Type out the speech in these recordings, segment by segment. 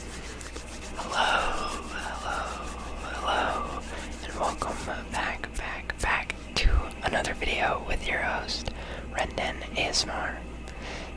Hello, hello, hello, and welcome back, back, back to another video with your host, Rendon Asmar.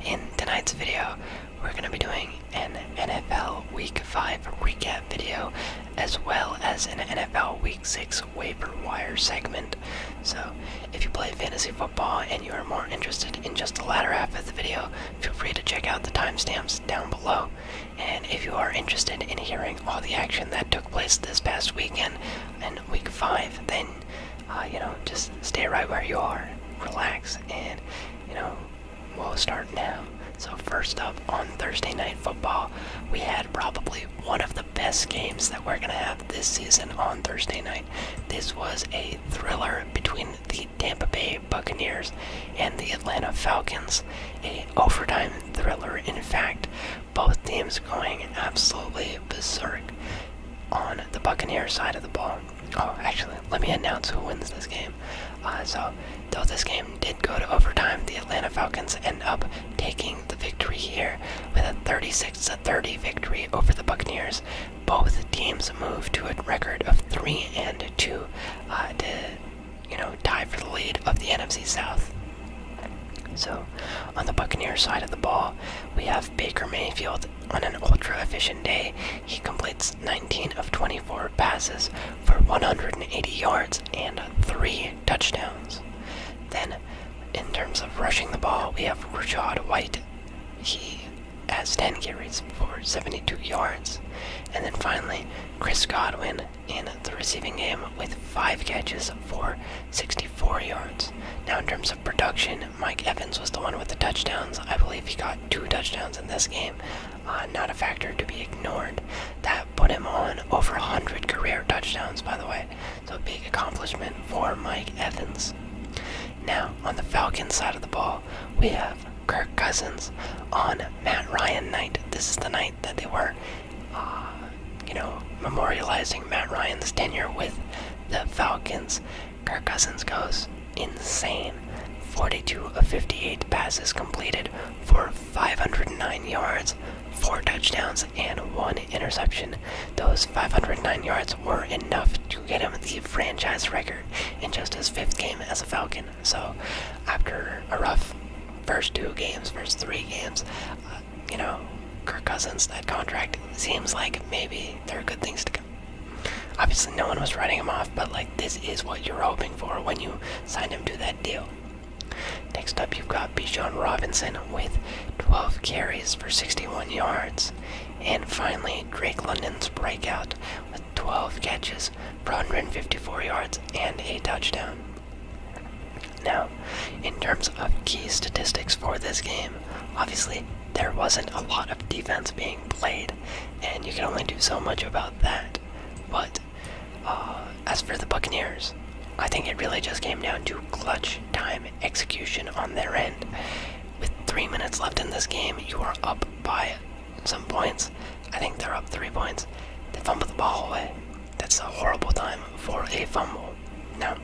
In tonight's video, we're going to be doing an NFL Week 5 recap video, as well as an NFL Week 6 waiver wire segment. So, if you play fantasy football and you are more interested in just the latter half of the video, feel free to check out the timestamps down below. And if you are interested in hearing all the action that took place this past weekend and week five, then uh, you know just stay right where you are, relax, and you know we'll start now. So first up on Thursday night football, we had probably one of the best games that we're gonna have this season on Thursday night. This was a thriller between the Tampa Bay Buccaneers and the Atlanta Falcons, a overtime thriller. In fact, both teams going absolutely berserk on the Buccaneers side of the ball. Oh, actually, let me announce who wins this game. Uh, so, though this game did go to overtime, the Atlanta Falcons end up taking the victory here with a 36-30 victory over the Buccaneers. Both teams move to a record of three and two uh, to, you know, tie for the lead of the NFC South. So, on the Buccaneers side of the ball, we have Baker Mayfield on an ultra efficient day. He completes 19 of 24 passes for 180 yards and three touchdowns. Then, in terms of rushing the ball, we have Rashad White. He has 10 carries for 72 yards. And then finally, Chris Godwin in the receiving game with 5 catches for 64 yards. Now, in terms of production, Mike Evans was the one with the touchdowns. I believe he got 2 touchdowns in this game. Uh, not a factor to be ignored. That put him on over 100 career touchdowns, by the way. So, big accomplishment for Mike Evans. Now, on the Falcons side of the ball, we have Kirk Cousins on Matt Ryan night. This is the night that they were, uh, you know, memorializing Matt Ryan's tenure with the Falcons. Kirk Cousins goes insane. 42 of 58 passes completed for 509 yards, 4 touchdowns, and 1 interception. Those 509 yards were enough to get him the franchise record in just his fifth game as a Falcon. So after a rough first two games, first three games, uh, you know, Kirk Cousins, that contract seems like maybe there are good things to come. Obviously, no one was writing him off, but like this is what you're hoping for when you sign him to that deal. Next up, you've got Bijan Robinson with 12 carries for 61 yards. And finally, Drake London's breakout with 12 catches for 154 yards and a touchdown. Now, in terms of key statistics for this game, obviously there wasn't a lot of defense being played, and you can only do so much about that. But uh, as for the Buccaneers, I think it really just came down to clutch time execution on their end. With three minutes left in this game, you are up by some points. I think they're up three points. They fumbled the ball away. That's a horrible time for a fumble. Now,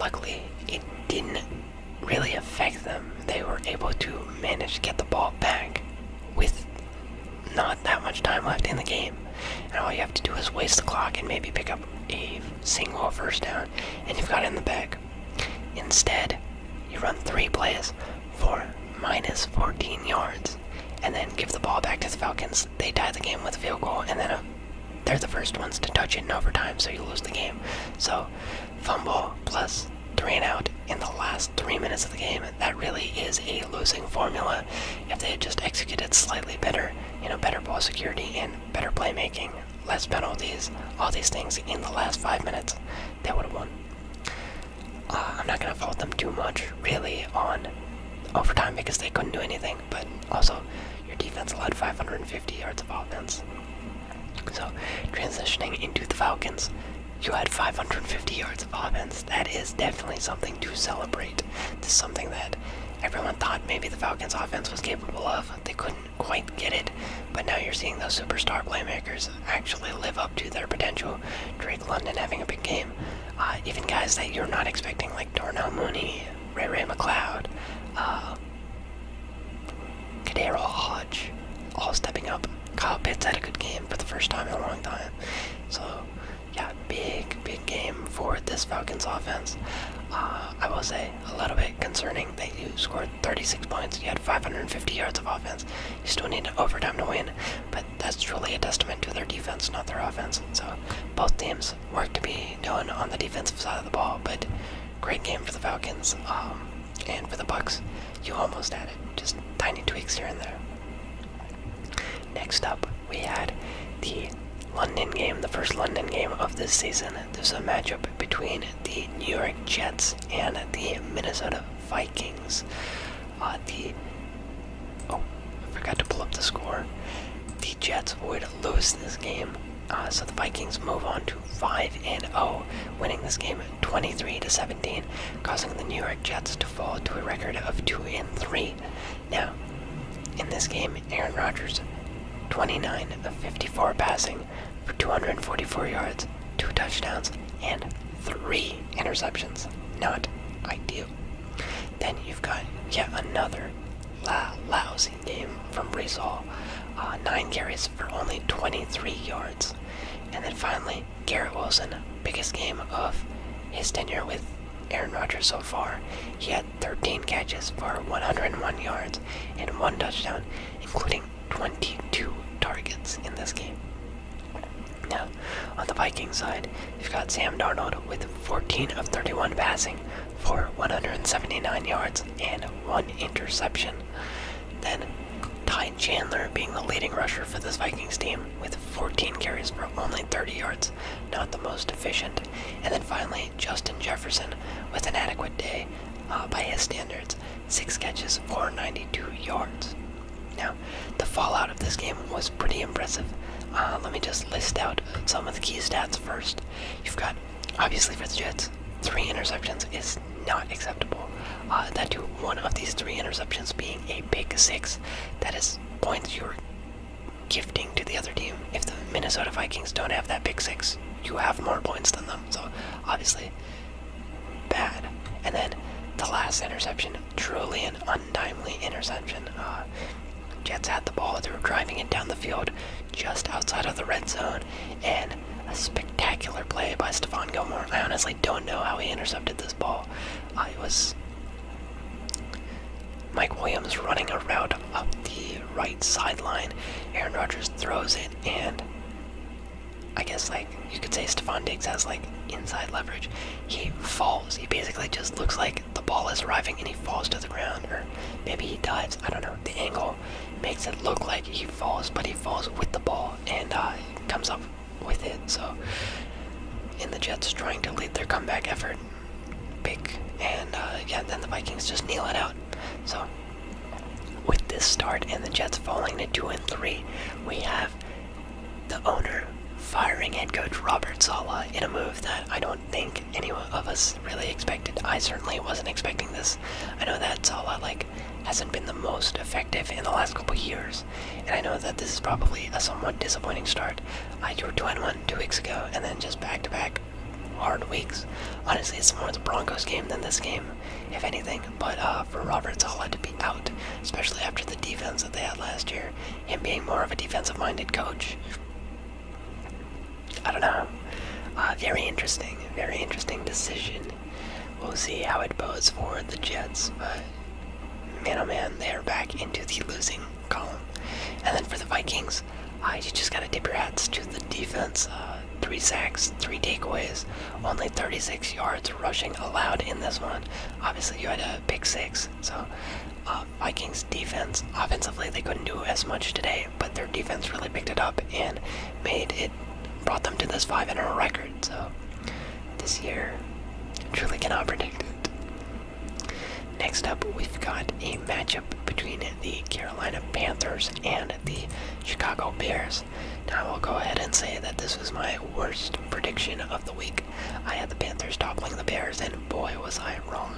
luckily, it didn't really affect them. They were able to manage to get the ball back with not that much time left in the game. And all you have to do is waste the clock and maybe pick up a single first down, and you've got it in the bag. Instead, you run three plays for minus 14 yards and then give the ball back to the Falcons. They tie the game with a field goal and then they're the first ones to touch it in overtime, so you lose the game. So, fumble plus three and out in the last three minutes of the game. That really is a losing formula. If they had just executed slightly better, you know, better ball security and better playmaking, less penalties, all these things in the last five minutes, they would have won. Uh, I'm not gonna fault them too much, really, on overtime because they couldn't do anything. But also, your defense allowed 550 yards of offense. So, transitioning into the Falcons, you had 550 yards of offense. That is definitely something to celebrate. This something that everyone thought maybe the Falcons' offense was capable of. They couldn't quite get it. But now you're seeing those superstar playmakers actually live up to their potential. Drake London having a big game. Uh, even guys that you're not expecting, like Darnell Mooney, Ray Ray McLeod, uh, Hodge, all stepping up. Kyle Pitts had a good game for the first time in a long time. So, yeah, big, big game for this Falcons offense. Uh, I will say a little bit concerning that you scored 36 points, you had 550 yards of offense, you still need overtime to win, but that's truly a testament to their defense, not their offense. So both teams work to be done on the defensive side of the ball, but great game for the Falcons um, and for the Bucks. You almost had it, just tiny tweaks here and there. Next up, we had the London game, the first London game of this season. There's a matchup between the New York Jets and the Minnesota Vikings. Uh, the oh, I forgot to pull up the score. The Jets would lose this game, uh, so the Vikings move on to five and zero, oh, winning this game 23 to 17, causing the New York Jets to fall to a record of two and three. Now, in this game, Aaron Rodgers, 29 of 54 passing, for 244 yards, two touchdowns, and three interceptions. Not ideal. Then you've got yet another lousy game from Brees uh, nine carries for only 23 yards. And then finally, Garrett Wilson, biggest game of his tenure with Aaron Rodgers so far. He had 13 catches for 101 yards and one touchdown, including 22 targets in this game. Now, on the Viking side, you've got Sam Darnold with 14 of 31 passing for 179 yards and one interception. Then, Ty Chandler being the leading rusher for this Vikings team with 14 carries for only 30 yards, not the most efficient. And then finally, Justin Jefferson with an adequate day uh, by his standards six catches for 92 yards. Now, the fallout of this game was pretty impressive. Uh, let me just list out some of the key stats first. You've got, obviously, for the Jets, three interceptions is not acceptable. Uh, that to one of these three interceptions being a big six, that is points you're gifting to the other team. If the Minnesota Vikings don't have that big six, you have more points than them. So obviously, bad. And then the last interception, truly an untimely interception. Uh, Jets had the ball, they were driving it down the field just outside of the red zone, and a spectacular play by Stephon Gilmore. I honestly don't know how he intercepted this ball. it was Mike Williams running a route up the right sideline. Aaron Rodgers throws it, and I guess like you could say Stephon Diggs has like inside leverage. He falls. He basically just looks like the ball is arriving and he falls to the ground, or maybe he dives. I don't know. The angle makes it look like he falls, but he falls with the ball and uh, comes up with it. So, in the Jets trying to lead their comeback effort, big, and uh, yeah, then the Vikings just kneel it out. So, with this start and the Jets falling to two and three, we have the owner firing head coach Robert Sala in a move that I don't think any of us really expected. I certainly wasn't expecting this. I know that Sala like hasn't been the most effective in the last couple years, and I know that this is probably a somewhat disappointing start. I drew two and one two weeks ago, and then just back to back hard weeks. Honestly, it's more the Broncos game than this game if anything. But uh, for Roberts, I'll to be out, especially after the defense that they had last year. Him being more of a defensive-minded coach. I don't know. Uh, very interesting. Very interesting decision. We'll see how it bodes for the Jets, but man, oh man, they are back into the losing column. And then for the Vikings, uh, you just gotta dip your hats to the defense. Uh, three sacks, three takeaways. Only 36 yards rushing allowed in this one. Obviously, you had a pick six, so uh, Vikings defense offensively they couldn't do as much today, but their defense really picked it up and made it brought them to this five in a record. So this year, truly cannot predict it. Next up, we've got a matchup between the Carolina Panthers and the Chicago Bears. Now I will go ahead and say that this was my worst prediction of the week. I had the Panthers toppling the Bears, and boy was I wrong.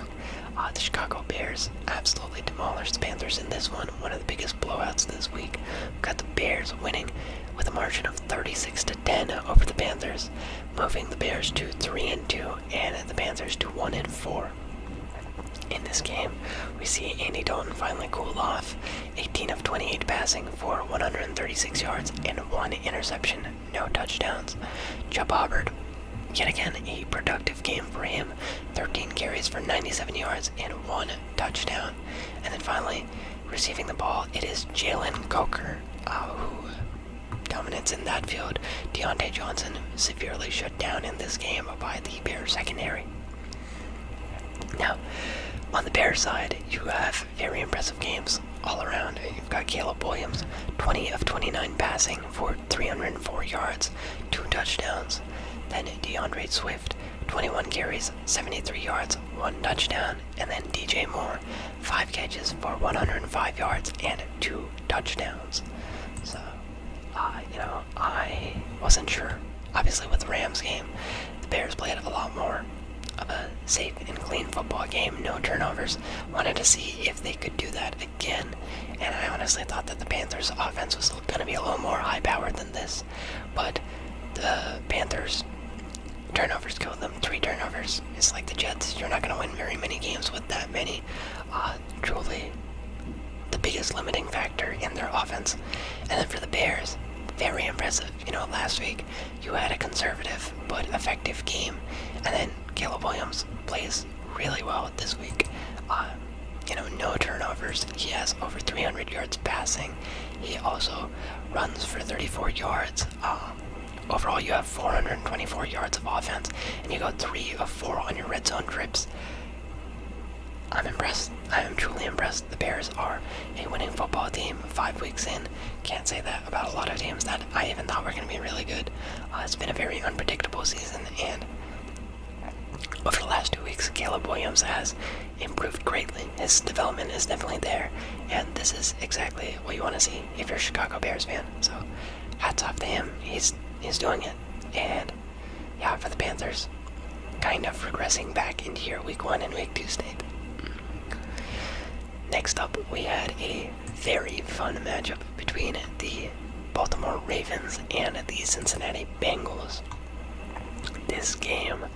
Uh, the Chicago Bears absolutely demolished the Panthers in this one, one of the biggest blowouts this week. we got the Bears winning with a margin of 36 to 10 over the Panthers, moving the Bears to 3 and 2 and the Panthers to 1 and 4. In this game, we see Andy Dalton finally cool off 18 of 28 passing for 136 yards and one interception, no touchdowns. Chubb Hubbard, yet again a productive game for him. 13 carries for 97 yards and one touchdown. And then finally, receiving the ball, it is Jalen Coker, uh, who dominates in that field. Deontay Johnson severely shut down in this game by the Bears secondary. Now, on the Bears side, you have very impressive games all around. You've got Caleb Williams, 20 of 29 passing for 304 yards, two touchdowns. Then DeAndre Swift, 21 carries, 73 yards, one touchdown. And then DJ Moore, five catches for 105 yards and two touchdowns. So, you know, I wasn't sure obviously with the Rams game, the Bears played a lot more of a safe and clean football game, no turnovers. Wanted to see if they could do that again, and I honestly thought that the Panthers' offense was going to be a little more high powered than this, but the Panthers. Turnovers killed them. Three turnovers. It's like the Jets. You're not going to win very many games with that many. Uh, truly, the biggest limiting factor in their offense. And then for the Bears, very impressive. You know, last week you had a conservative but effective game. And then Caleb Williams plays really well this week. Uh, you know, no turnovers. He has over 300 yards passing. He also runs for 34 yards. Uh, overall, you have 424 yards of offense, and you go three of four on your red zone trips. I'm impressed. I am truly impressed the Bears are a winning football team five weeks in. Can't say that about a lot of teams that I even thought were going to be really good. Uh, it's been a very unpredictable season, and over the last two weeks, Caleb Williams has improved greatly. His development is definitely there, and this is exactly what you want to see if you're a Chicago Bears fan. So, hats off to him. He's he's doing it, and yeah, for the Panthers, kind of regressing back into your Week One and Week Two state. Next up, we had a very fun matchup between the Baltimore Ravens and the Cincinnati Bengals. This game,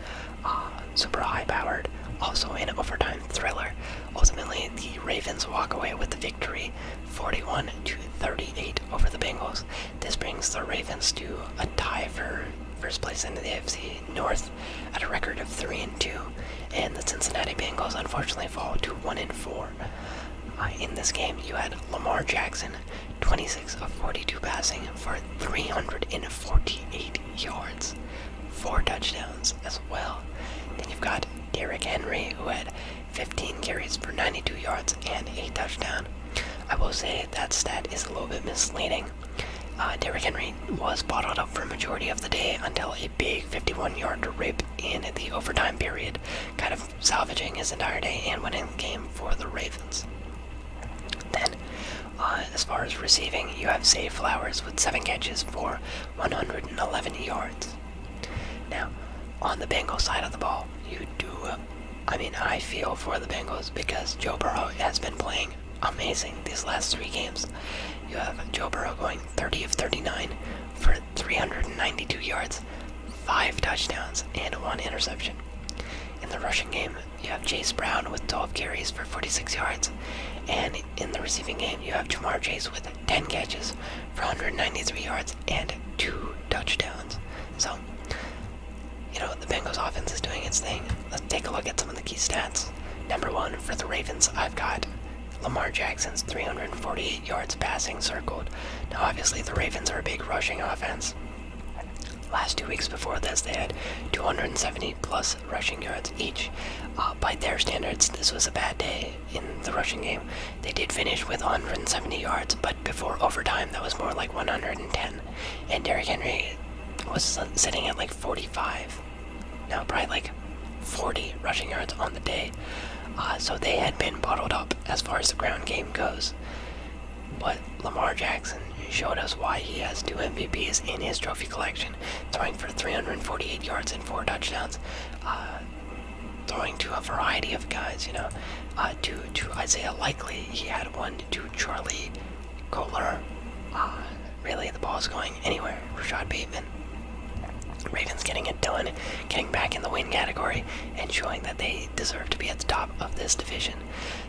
uh, super high powered, also an overtime thriller. Ultimately, the Ravens walk away with the victory 41 to 38 over the Bengals. This brings the Ravens to a tie for first place in the AFC North at a record of three and two, and the Cincinnati Bengals unfortunately fall to one and four. Uh, in this game, you had Lamar Jackson, 26 of 42 passing for 348 yards, four touchdowns as well. Then you've got Derrick Henry, who had 15 carries for 92 yards and a touchdown. I will say that stat is a little bit misleading. Uh, Derrick Henry was bottled up for majority of the day until a big 51-yard rip in the overtime period, kind of salvaging his entire day and winning the game for the Ravens. Then, uh, as far as receiving, you have Zay Flowers with seven catches for 111 yards. Now, on the Bengals side of the ball, you do. I mean, I feel for the Bengals because Joe Burrow has been playing amazing these last three games. You have Joe Burrow going 30 of 39 for 392 yards, five touchdowns, and one interception. In the rushing game, you have Chase Brown with 12 carries for 46 yards, and in the receiving game, you have Jamar Chase with 10 catches for 193 yards and two touchdowns. So, you know, the Bengals offense is doing its thing let's take a look at some of the key stats. Number one, for the Ravens, I've got Lamar Jackson's 348 yards passing circled. Now, obviously, the Ravens are a big rushing offense. Last two weeks before this, they had 270 plus rushing yards each. Uh, by their standards, this was a bad day in the rushing game. They did finish with 170 yards, but before overtime, that was more like 110 and Derrick Henry was sitting at like 45, now probably like 40 rushing yards on the day. Uh, so they had been bottled up as far as the ground game goes. But Lamar Jackson showed us why he has two MVPs in his trophy collection, throwing for 348 yards and four touchdowns, uh, throwing to a variety of guys. You know, uh, to to Isaiah Likely, he had one to Charlie Kohler, Really, the ball's going anywhere. Rashad Bateman. Ravens getting it done, getting back in the win category, and showing that they deserve to be at the top of this division.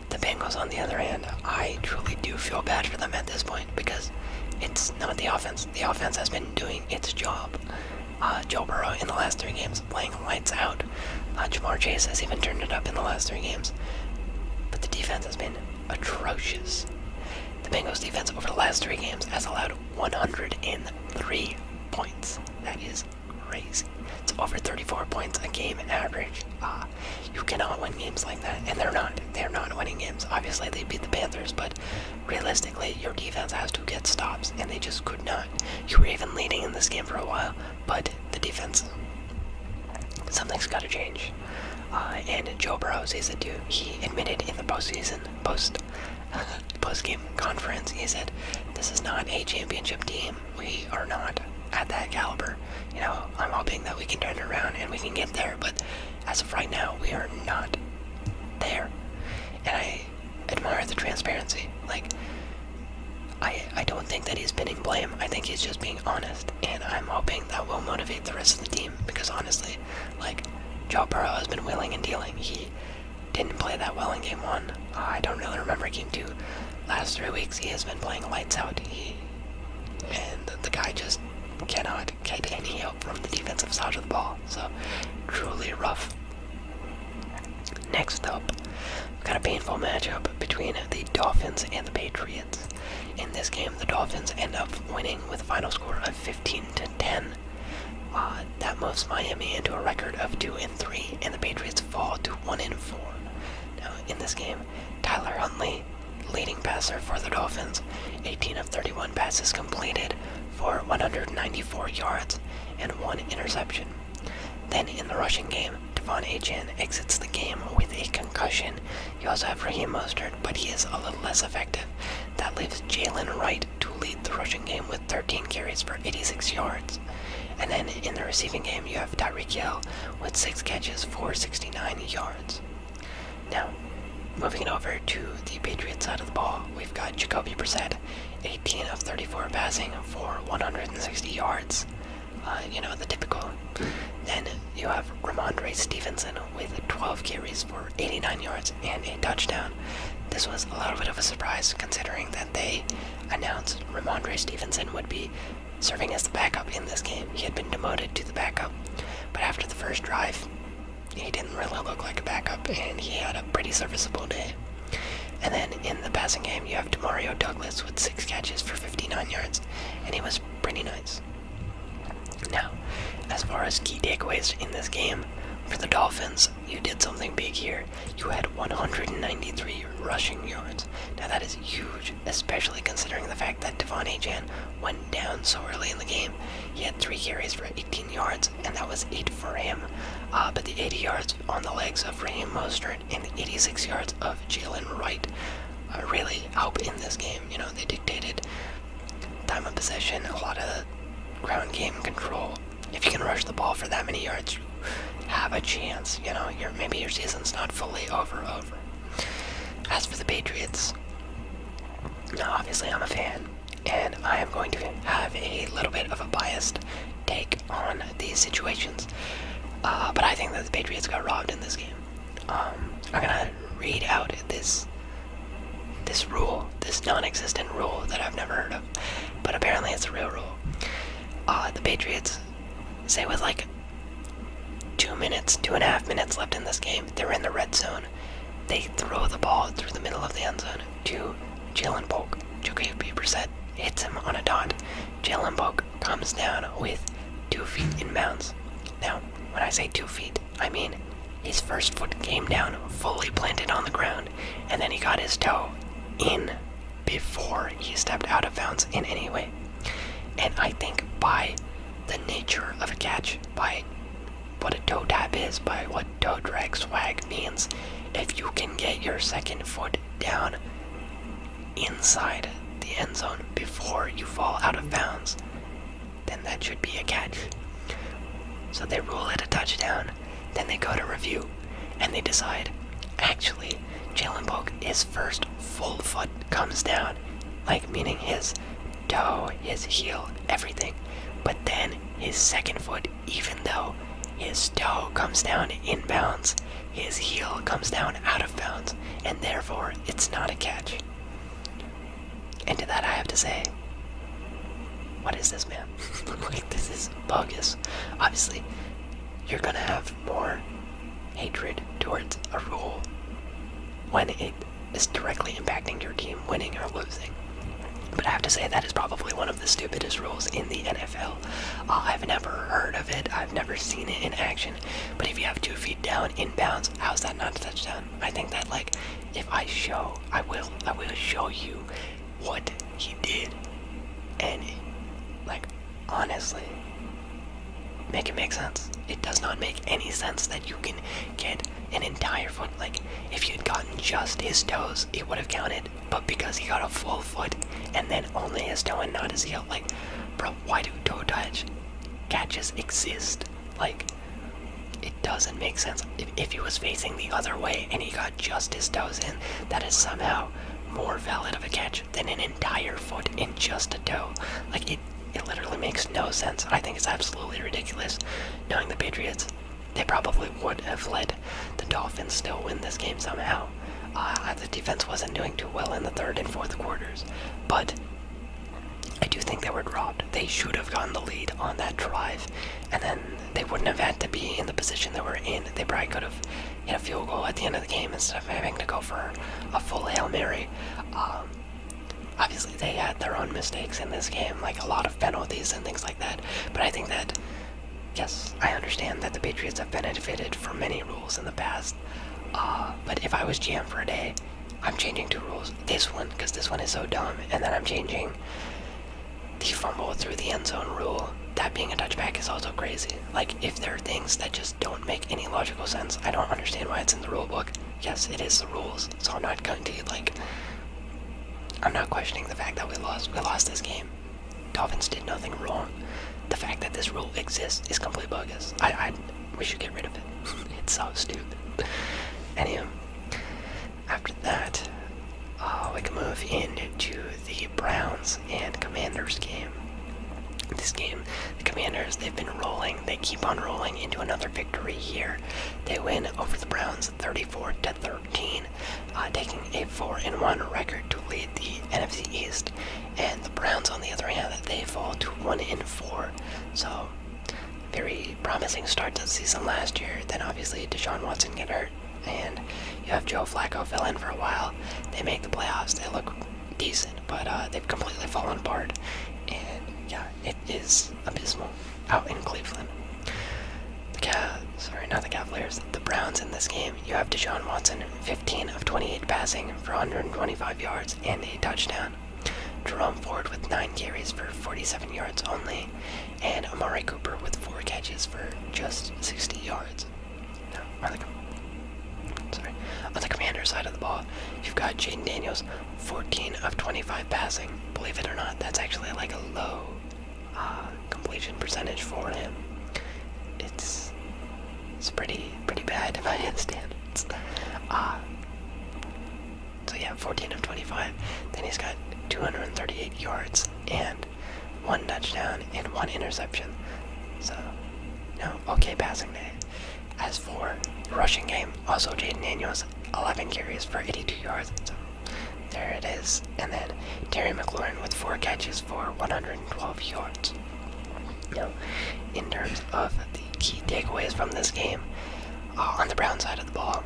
The Bengals, on the other hand, I truly do feel bad for them at this point because it's not the offense. The offense has been doing its job. Uh, Joe Burrow in the last three games playing lights out. Uh, Jamar Chase has even turned it up in the last three games. But the defense has been atrocious. The Bengals defense over the last three games has allowed 103 points. That is crazy. It's over 34 points a game average. Uh, you cannot win games like that, and they're not. They're not winning games. Obviously, they beat the Panthers, but realistically, your defense has to get stops, and they just could not. You were even leading in this game for a while, but the defense, something's got to change. Uh, and Joe Burrows is a dude. He admitted in the postseason, post post game conference, he said, "This is not a championship team. We are not at that caliber. You know, I'm hoping that we can turn it around and we can get there. But as of right now, we are not there." And I admire the transparency. Like, I I don't think that he's pinning blame. I think he's just being honest and I'm hoping that will motivate the rest of the team because honestly, like Joe Burrow has been willing and dealing. He didn't play that well in game one. I don't really remember game two. Last three weeks he has been playing lights out. He and the guy just cannot get any help from the defensive side of the ball. So truly rough. Next up, we've got a painful matchup between the Dolphins and the Patriots. In this game, the Dolphins end up winning with a final score of 15 to 10. Uh, that moves Miami into a record of 2 and 3, and the Patriots fall to 1 and 4. Now, in this game, Tyler Huntley, leading passer for the Dolphins, 18 of 31 passes completed for 194 yards and one interception. Then in the rushing game, Devon Achan exits the game with a concussion you also have Raheem Mostert, but he is a little less effective. That leaves Jalen Wright to lead the rushing game with 13 carries for 86 yards. And then in the receiving game, you have Tyreek Hill with 6 catches for 69 yards. Now, moving over to the Patriots side of the ball, we've got Jacoby Brissett, 18 of 34 passing for 160 yards. Uh, you know, the typical. Then you have Ramondre Stevenson with 12 carries for 89 yards and a touchdown. This was a little bit of a surprise considering that they announced Ramondre Stevenson would be serving as the backup in this game. He had been demoted to the backup, but after the first drive, he didn't really look like a backup and he had a pretty serviceable day. And then in the passing game, you have Demario Douglas with six catches for 59 yards, and he was pretty nice. Now, as far as key takeaways in this game, for the Dolphins, you did something big here. You had 193 rushing yards. Now that is huge, especially considering the fact that Devon Achan went down so early in the game. He had three carries for 18 yards, and that was eight for him. Uh, but the 80 yards on the legs of Raheem Mostert and the 86 yards of Jalen Wright uh, really helped in this game. You know, they dictated time of possession, a lot of ground game control. If you can rush the ball for that many yards, you have a chance. You know, your maybe your season's not fully over. Over. As for the Patriots, now obviously I'm a fan, and I am going to have a little bit of a biased take on these situations. Uh, but I think that the Patriots got robbed in this game. Um, I'm gonna read out this this rule, this non-existent rule that I've never heard of, but apparently it's a real rule. Uh, the Patriots say with like two minutes, two and a half minutes left in this game, they're in the red zone. They throw the ball through the middle of the end zone to Jalen Polk. Jacoby Brissett hits him on a dot. Jalen Polk comes down with two feet in bounds. Now, when I say two feet, I mean his first foot came down fully planted on the ground, and then he got his toe in before he stepped out of bounds in any way. And I think by the nature of a catch, by what a toe tap is, by what toe drag swag means, if you can get your second foot down inside the end zone before you fall out of bounds, then that should be a catch. So they rule it a touchdown, then they go to review, and they decide actually, Jalen Polk, his first full foot comes down, like meaning his toe, his heel, everything. But then his second foot, even though his toe comes down inbounds, his heel comes down out of bounds, and therefore it's not a catch. And to that, I have to say, what is this, man? this is bogus. Obviously, you're gonna have more hatred towards a rule when it is directly impacting your team winning or losing. But I have to say, that is probably one of the stupidest rules in the NFL. Uh, I've never heard of it, I've never seen it in action. But if you have two feet down inbounds, How's that not a touchdown? I think that like if I show I will I will show you what he did and like honestly make it make sense. It does not make any sense that you can get an entire foot like if you'd gotten just his toes, it would have counted, but because he got a full foot and then only his toe and not his heel, like bro, why do toe touch catches exist? Like, it doesn't make sense. If, he was facing the other way and he got just his toes in, that is somehow more valid of a catch than an entire foot in just a toe. Like, it, it literally makes no sense. I think it's absolutely ridiculous. Knowing the Patriots, they probably would have let the Dolphins still win this game somehow. Uh, the defense wasn't doing too well in the third and fourth quarters, but I do think they were robbed. They should have gotten the lead on that drive, and then they wouldn't have had to be in the position they were in. They probably could have hit a field goal at the end of the game instead of having to go for a full Hail Mary. Um, obviously, they had their own mistakes in this game, like a lot of penalties and things like that, but I think that. Yes, I understand that the Patriots have benefited from many rules in the past, uh, but if I was jammed for a day, I'm changing two rules. This one, because this one is so dumb, and then I'm changing the fumble through the end zone rule. That being a touchback is also crazy. Like, if there are things that just don't make any logical sense, I don't understand why it's in the rule book. Yes, it is the rules, so I'm not going to, like, I'm not questioning the fact that we lost. We lost this game. Dolphins did nothing wrong. The fact that this rule exists is complete bogus. I we should get rid of it. it's so stupid. Anyhow, after that, uh, we can move into the Browns and Commanders game. This game, the Commanders, they've been rolling. They keep on rolling into another victory here. They win over the Browns 34 to 13, uh, taking a 4 and 1 record to lead the NFC East. And the Browns, on the other hand, they fall to 1 and 4. So very promising start to the season last year. Then obviously Deshaun Watson get hurt, and you have Joe Flacco fill in for a while. They make the playoffs. They look decent, but uh, they've completely fallen apart. And yeah, it is abysmal out in Cleveland. The Cav, sorry, not the Cavaliers. The Browns in this game. You have Deshaun Watson, 15 of 28 passing for 125 yards and a touchdown touchdown. Jerome Ford with nine carries for 47 yards only, and Amari Cooper with four catches for just 60 yards. Now, on the, sorry, commander side of the ball, you've got Jaden Daniels, 14 of 25 passing. Believe it or not, that's actually like a low uh, completion percentage for him. It's it's pretty pretty bad by his standards. Uh, so yeah, 14 of 25. Then he's got 238 yards and one touchdown and one interception. So, no, okay passing day. As for rushing game, also Jaden Daniels, 11 carries for 82 yards. So there it is. And then Terry McLaurin with four catches for 112 yards you know, in terms of the key takeaways from this game, uh, on the Brown side of the ball,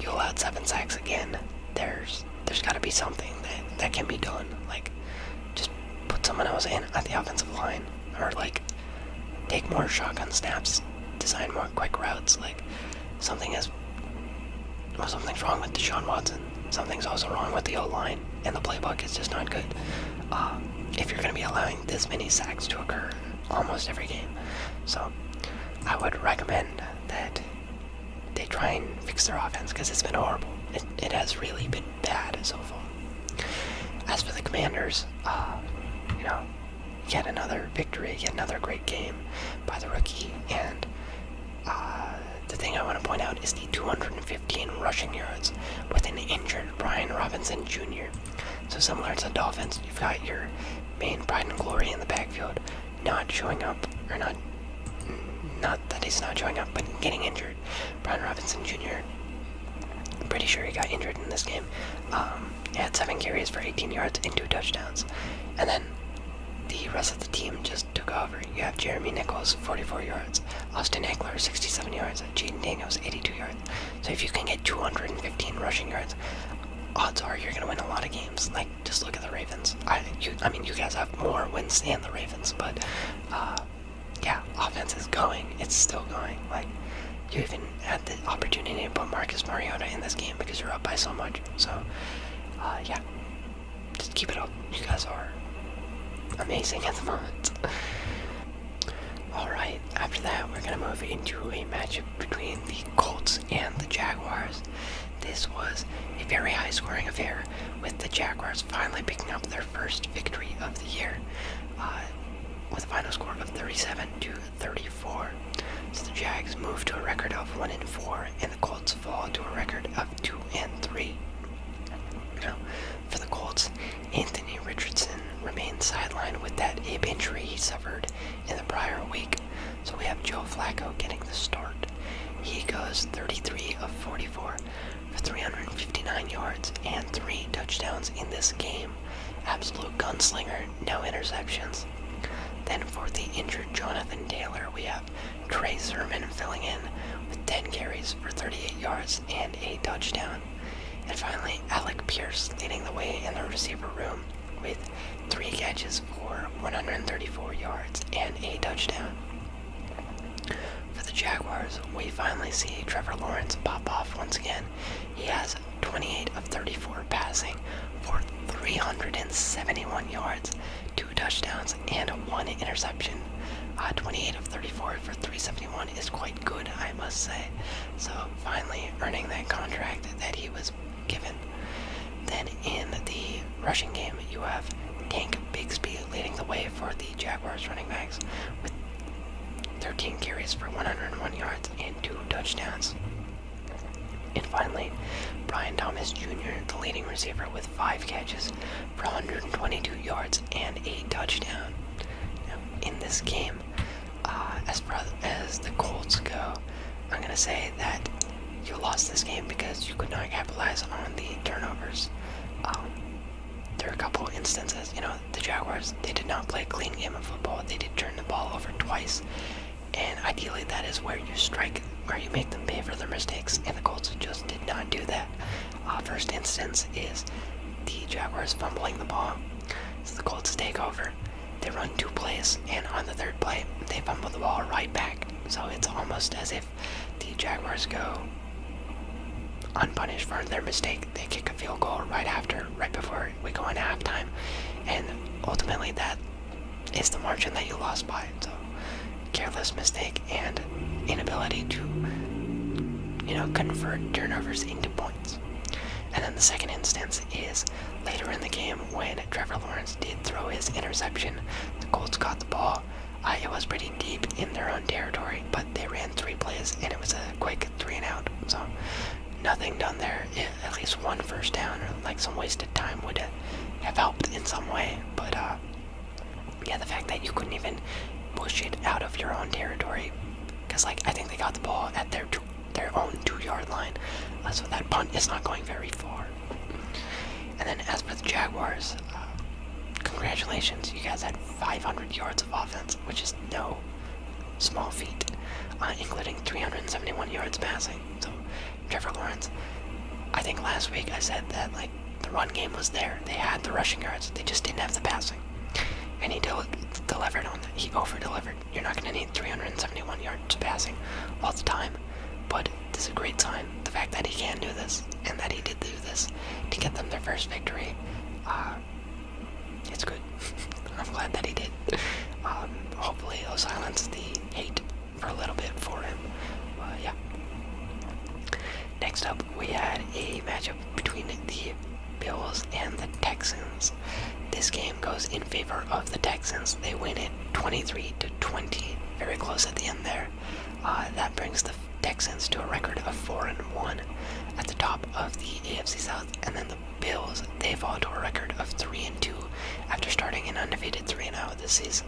you allowed seven sacks again. There's there's got to be something that that can be done. Like, just put someone else in at the offensive line, or like take more shotgun snaps, design more quick routes. Like, something is well, something's wrong with Deshaun Watson. Something's also wrong with the O line, and the playbook is just not good. Uh, if you're going to be allowing this many sacks to occur almost every game. So I would recommend that they try and fix their offense because it's been horrible. It, has really been bad so far. As for the Commanders, uh, you know, yet another victory, yet another great game by the rookie. And uh, the thing I want to point out is the 215 rushing yards with an injured Brian Robinson Jr. So similar to the Dolphins, you've got your main pride and glory in the backfield not showing up, or not, not that he's not showing up, but getting injured. Brian Robinson junior pretty sure he got injured in this game. Um, he had seven carries for 18 yards and two touchdowns, and then the rest of the team just took over. You have Jeremy Nichols, 44 yards, Austin Eckler, 67 yards, Jaden Daniels, 82 yards. So if you can get 215 rushing yards, odds are you're going to win a lot of games. Like just look at the Ravens. I you, I mean you guys have more wins than the Ravens, but uh, yeah, offense is going. It's still going. Like you even had the opportunity to put Marcus Mariota in this game because you're up by so much. So uh, yeah, just keep it up. You guys are amazing at the moment. Alright, after that, we're going to move into a matchup between the Colts and the Jaguars. This was a very high scoring affair, with the Jaguars finally picking up their first victory of the year uh, with a final score of 37 to 34. So the Jags move to a record of 1 and 4, and the Colts fall to a record of 2 and 3. for the Colts, Anthony Richardson remains sidelined with that hip injury he suffered in the prior week, so we have Joe Flacco getting the start. He goes 33 of 44 for 359 yards and three touchdowns in this game. Absolute gunslinger, no interceptions. Then for the injured Jonathan Taylor, we have Trey Sermon filling in with 10 carries for 38 yards and a touchdown. And finally, Alec Pierce leading the way in the receiver room with three catches for 134 yards and a touchdown. For the Jaguars, we finally see Trevor Lawrence pop off once again. He has 28 of 34 passing for 371 yards, two touchdowns, and one interception. Uh, 28 of 34 for 371 is quite good, I must say. So finally earning that contract that he was given. Then in the rushing game, you have Tank Bigsby leading the way for the Jaguars running backs with 13 carries for 101 yards and two touchdowns. And finally, Brian Thomas Jr., the leading receiver, with five catches for 122 yards and a touchdown. in this game, uh, as far as the Colts go, I'm going to say that you lost this game because you could not capitalize on the turnovers. Um, there are a couple instances, you know, the Jaguars, they did not play a clean game of football. They did turn the ball over twice. And ideally, that is where you strike, where you make them pay for their mistakes. And the Colts just did not do that. Uh, first instance is the Jaguars fumbling the ball so the Colts take over. They run two plays, and on the third play, they fumble the ball right back. So it's almost as if the Jaguars go unpunished for their mistake. They kick a field goal right after, right before we go into halftime, and ultimately that is the margin that you lost by. So careless mistake and inability to, you know, convert turnovers into points. And then the second instance is later in the game when Trevor Lawrence did throw his interception. The Colts caught the ball. it was pretty deep in their own territory, but they ran three plays and it was a quick three and out. So nothing done there. at least one first down or like some wasted time would have helped in some way. But uh, yeah, the fact that you couldn't even push it out of your own territory, because like I think they got the ball at their their own two-yard line. so that punt is not going very far. And then as for the Jaguars, uh, congratulations, you guys had 500 yards of offense, which is no small feat, uh, including 371 yards passing. So Trevor Lawrence, I think last week I said that like the run game was there. They had the rushing yards. They just didn't have the passing. And he delivered on that. He over-delivered. You're not going to need 371 yards of passing all the time, but it's a great sign. The fact that he can do this and that he did do this to get them their first victory, uh, it's good. I'm glad that he did. Um, hopefully, it'll silence the hate for a little bit for him. Uh, yeah. Next up, we had a matchup between the Bills and the Texans. This game goes in favor of the Texans. They win it 23 to 20, very close at the end there. Uh, that brings the Texans to a record of 4 and 1 at the top of the AFC South, and then the Bills they fall to a record of 3 and 2 after starting an undefeated 3 and 0 this season.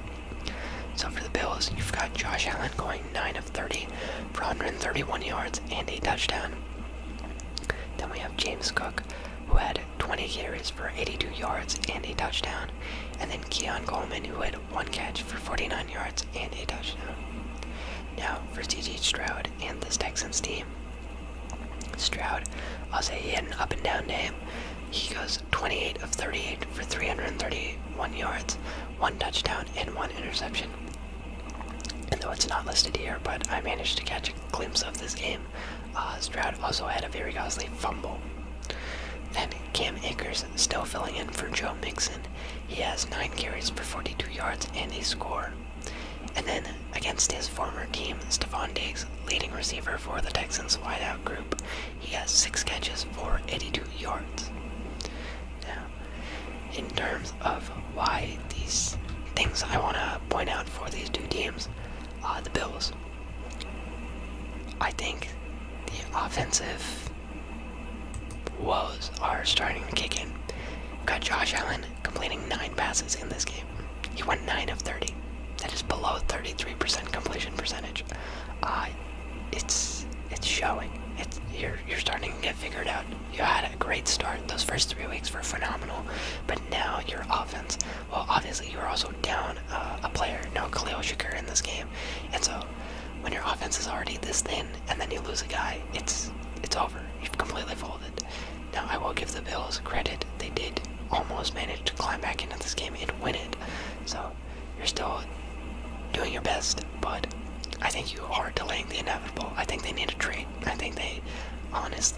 So for the Bills, you've got Josh Allen going 9 of 30 for 131 yards and a touchdown. Then we have James Cook, who had 20 carries for 82 yards and a touchdown, and then Keon Coleman, who had one catch for 49 yards and a touchdown. Now for CJ Stroud and this Texans team. Stroud, I'll say had an up and down day. He goes 28 of 38 for 331 yards, one touchdown, and one interception. And though it's not listed here, but I managed to catch a glimpse of this game. Uh, Stroud also had a very costly fumble. Then Cam Akers still filling in for Joe Mixon. He has 9 carries for 42 yards and a score. And then against his former team, Stephon Diggs, leading receiver for the Texans wideout group, he has 6 catches for 82 yards. Now, in terms of why these things I want to point out for these two teams. are the Bills. I think the offensive woes are starting to kick in. we got Josh Allen completing nine passes in this game. He went nine of thirty. That is below thirty-three percent completion percentage. Uh, it's it's showing. you're you're starting to get figured out you had a great start. Those first three weeks were phenomenal, but now your offense. Well, obviously you are also down uh, a player, no Khalil Shakur in this game, and so when your offense is already this thin and then you lose a guy, it's it's over. You've completely folded. Now I will give the Bills credit; they did almost manage to climb back into this game and win it. So you're still doing your best, but I think you are delaying the inevitable. I think they need a trade I think they honest,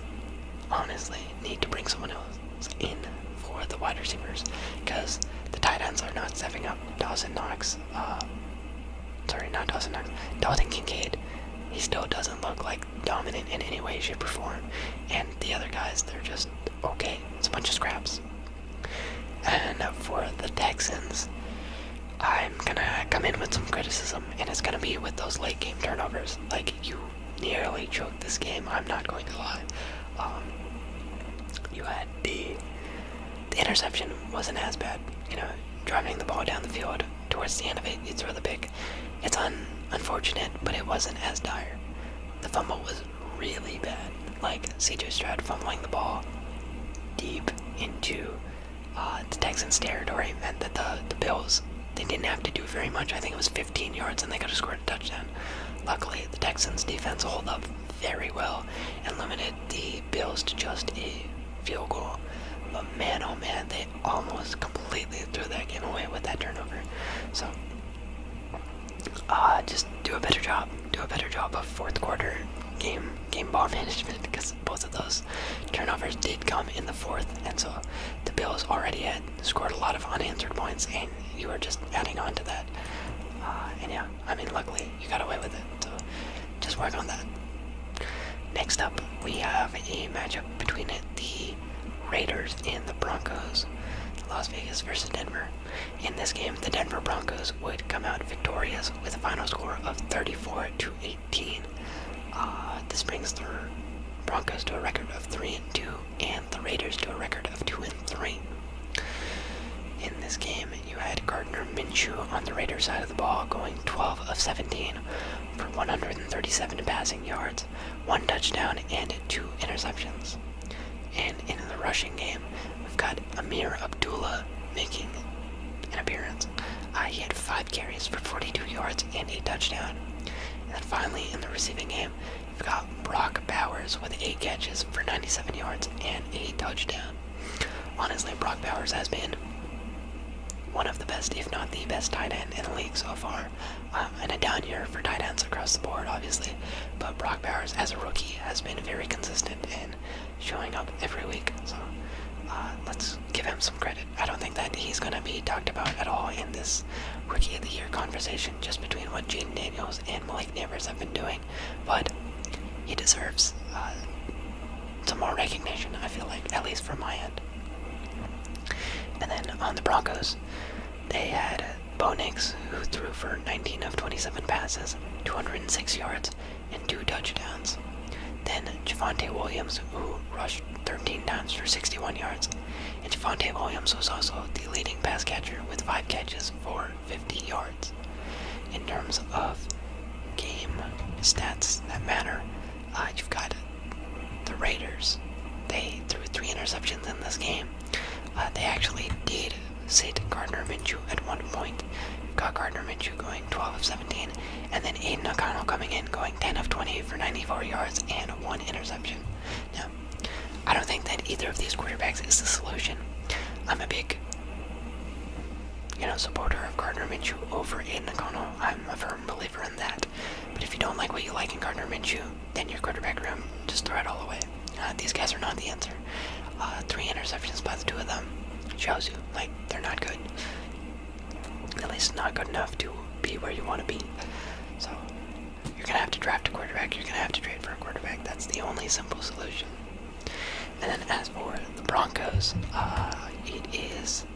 honestly need to bring someone else in for the wide receivers because the tight ends are not stepping up. Dawson Knox, uh, sorry, not Dawson Knox, Dalton Kincaid, he still doesn't look like dominant in any way, shape, or form. And the other guys, they're just okay. It's a bunch of scraps. And for the Texans, I'm gonna come in with some criticism um, and it's going to be with those late game turnovers. Like, you nearly choked this game, I'm not going to lie. Um, you had the, interception wasn't as bad. You know, driving the ball down the field towards the end of it, it's rather big. It's un, unfortunate, but it wasn't as dire. The fumble was really bad. Like, CJ Stroud fumbling the ball deep into uh, the Texans' territory meant that the the Bills they didn't have to do very much. I think it was 15 yards, and they could have scored a touchdown. Luckily, the Texans' defense held up very well and limited the Bills to just a field goal. But man, oh man, they almost completely threw that game away with that turnover. So, uh, just do a better job. Do a better job of fourth quarter game game ball because. both of those turnovers did come in the fourth, and so the Bills already had scored a lot of unanswered points, and you were just adding on to that. Uh, and yeah, I mean, luckily you got away with it, so just work on that. Next up, we have a matchup between the Raiders and the Broncos. Las Vegas versus Denver. In this game, the Denver Broncos would come out victorious with a final score of 34 to 8. 18. this uh, brings the Broncos to a record of 3 and 2, and the Raiders to a record of 2 and 3. In this game, you had Gardner Minshew on the Raiders side of the ball going 12 of 17 for 137 passing yards, one touchdown, and two interceptions. And in the rushing game, we've got Amir Abdullah making an appearance. I uh, had five carries for 42 yards and a touchdown. And then finally, in the receiving game, we have got Brock Bowers with eight catches for 97 yards and a touchdown. Honestly, Brock Bowers has been one of the best, if not the best, tight end in the league so far. Um, and a down year for tight ends across the board, obviously. But Brock Bowers, as a rookie, has been very consistent in showing up every week. So uh, let's give him some. I don't think that he's going to be talked about at all in this Rookie of the Year conversation, just between what Jaden Daniels and Malik Neighbors have been doing. But he deserves uh, some more recognition, I feel like, at least from my end. And then on the Broncos, they had Bo Nix, who threw for 19 of 27 passes, 206 yards, and two touchdowns. Then Javante Williams, who rushed 13 times for 61 yards, and Javante Williams was also the leading pass catcher with five catches for 50 yards. In terms of game stats that matter, uh, the Raiders. They threw three interceptions in this game. Uh, they actually did sit Gardner Minshew at one point. Got Gardner Minshew going 12 of 17. And then Aiden O'Connell coming in, going 10 of twenty for 94 yards and one interception. Now, I don't think that either of these quarterbacks is the solution. I'm a big, you know, supporter of Gardner Minshew over Aiden O'Connell. I'm a firm believer in that. But if you don't like what you like in Gardner Minshew, then your quarterback room, just throw it all away. Uh, these guys are not the answer. Uh, three interceptions by the two of them shows you, like, they're not good at least not good enough to be where you want to be. So you're gonna have to draft a quarterback. You're gonna have to trade for a quarterback. That's the only simple solution. And then as for the Broncos, uh, it is